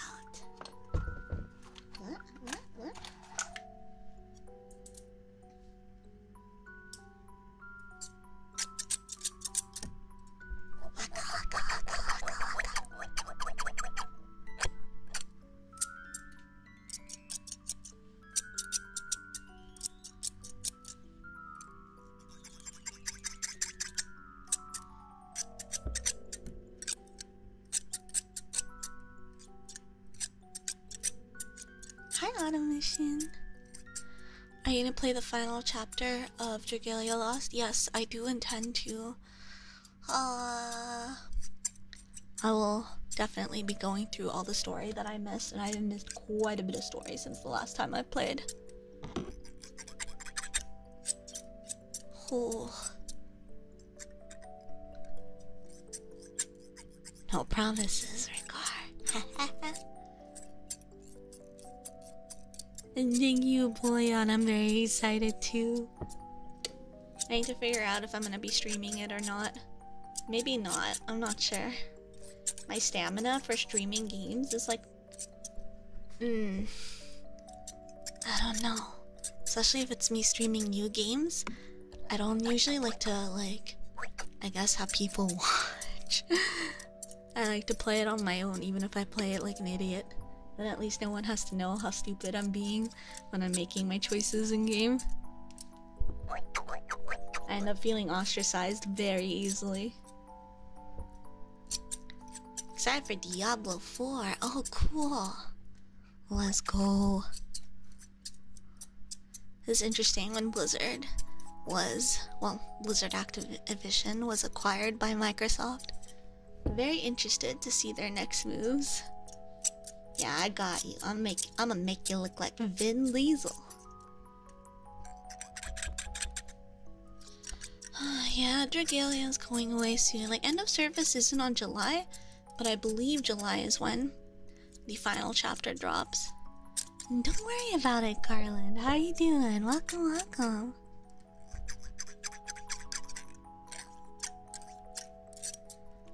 Hi, Automation. Are you gonna play the final chapter of Dragalia Lost? Yes, I do intend to. Uh, I will definitely be going through all the story that I missed, and I've missed quite a bit of story since the last time i played. Oh. No promises, Ricard. and thank you, on. I'm very excited too. I need to figure out if I'm gonna be streaming it or not. Maybe not. I'm not sure. My stamina for streaming games is like Mm. I don't know. Especially if it's me streaming new games. I don't usually like to like I guess have people watch. I like to play it on my own even if I play it like an idiot. Then at least no one has to know how stupid I'm being when I'm making my choices in game. I end up feeling ostracized very easily. Excited for Diablo 4. Oh, cool. Let's go. This is interesting when Blizzard was, well, Blizzard Activision was acquired by Microsoft. Very interested to see their next moves. Yeah, I got you. I'm make I'm gonna make you look like Vin Diesel. yeah, Dragalia is going away soon. Like, end of service isn't on July, but I believe July is when the final chapter drops. Don't worry about it, Garland. How you doing? Welcome, welcome.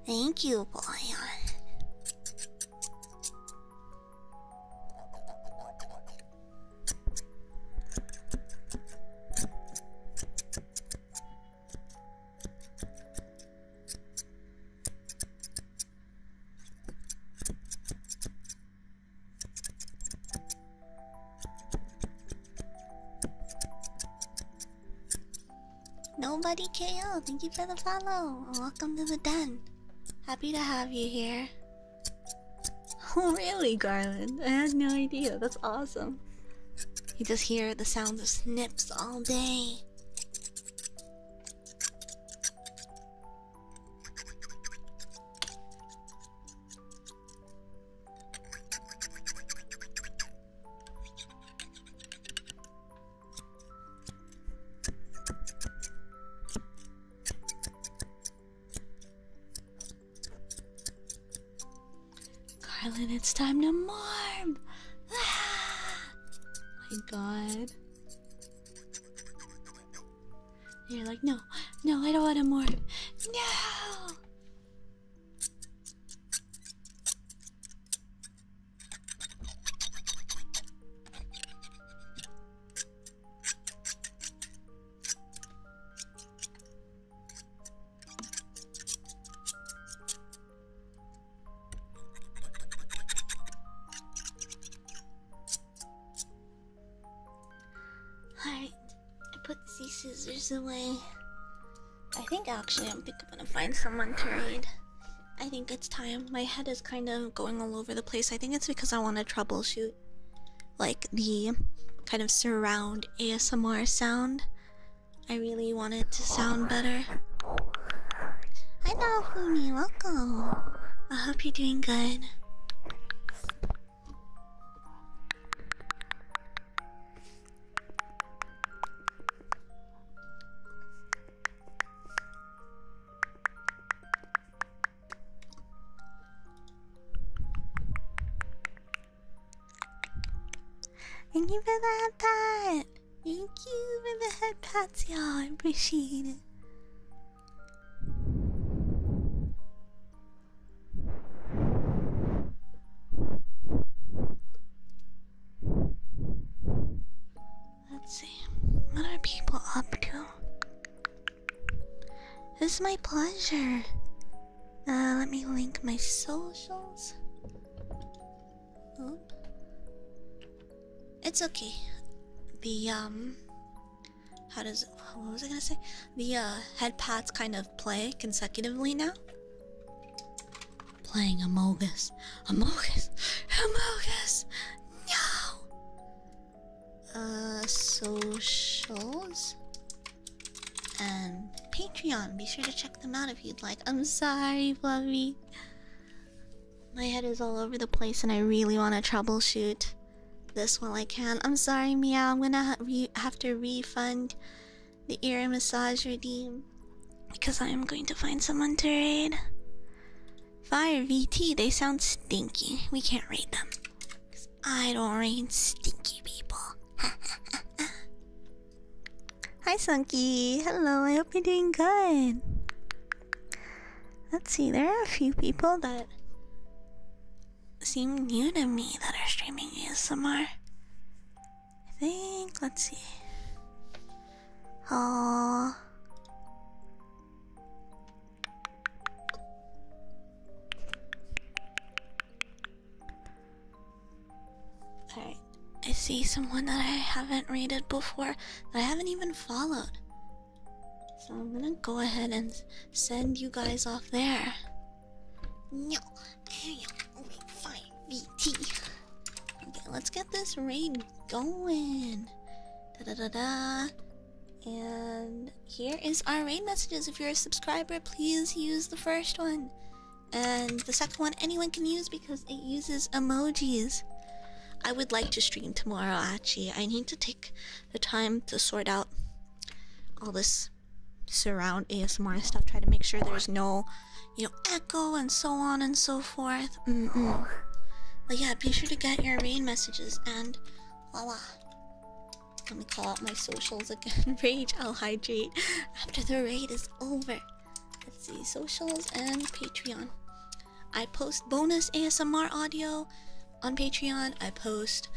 Thank you, boy. Nobody KO, thank you for the follow. Welcome to the den. Happy to have you here. Oh, really, Garland? I had no idea. That's awesome. You just hear the sounds of snips all day. Carlin, it's time to morph! Ah! My god. You're like, no, no, I don't want to morph. No! Alright, I put these scissors away. I think actually I'm gonna find someone to read. I think it's time. My head is kind of going all over the place. I think it's because I want to troubleshoot like the kind of surround ASMR sound. I really wanted to sound better. Hi Naofumi, welcome. I hope you're doing good. Thank you for the head Thank you for the head pats, y'all. I appreciate it. Let's see. What are people up to? It's my pleasure. Uh, let me link my socials. Oop. It's okay. The um, how does what was I gonna say? The uh, head pads kind of play consecutively now. Playing Amogus, Amogus, Amogus. No. Uh, socials um, Patreon. Be sure to check them out if you'd like. I'm sorry, Fluffy. My head is all over the place, and I really want to troubleshoot this while I can. I'm sorry, Meow. I'm gonna have to refund the ear massage redeem because I am going to find someone to raid. Fire VT. They sound stinky. We can't raid them. I don't rain stinky people. Hi, Sunky. Hello, I hope you're doing good. Let's see, there are a few people that seem new to me that are streaming ASMR. I think, let's see. Oh. Alright, I see someone that I haven't rated before that I haven't even followed. So I'm gonna go ahead and send you guys off there. No, fine, VT. Okay, let's get this raid going. Da da da da. And here is our raid messages. If you're a subscriber, please use the first one. And the second one anyone can use because it uses emojis. I would like to stream tomorrow, actually. I need to take the time to sort out all this surround ASMR stuff. Try to make sure there's no, you know, echo and so on and so forth. But yeah, be sure to get your raid messages and voila. Let me call out my socials again. Rage, I'll hydrate after the raid is over. Let's see, socials and Patreon. I post bonus ASMR audio on Patreon. I post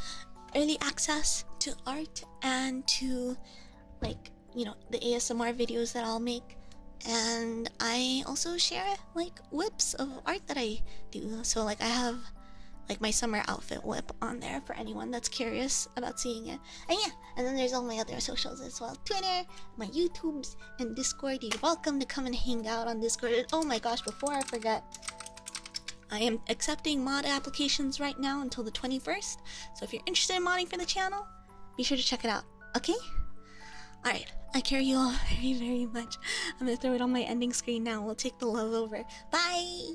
early access to art and to, like, you know, the ASMR videos that I'll make. And I also share, like, whips of art that I do. So, like, I have like my summer outfit whip on there for anyone that's curious about seeing it. And yeah, and then there's all my other socials as well. Twitter, my YouTubes, and Discord. You're welcome to come and hang out on Discord. oh my gosh, before I forget, I am accepting mod applications right now until the 21st. So if you're interested in modding for the channel, be sure to check it out. Okay? Alright, I care you all very, very much. I'm gonna throw it on my ending screen now. We'll take the love over. Bye!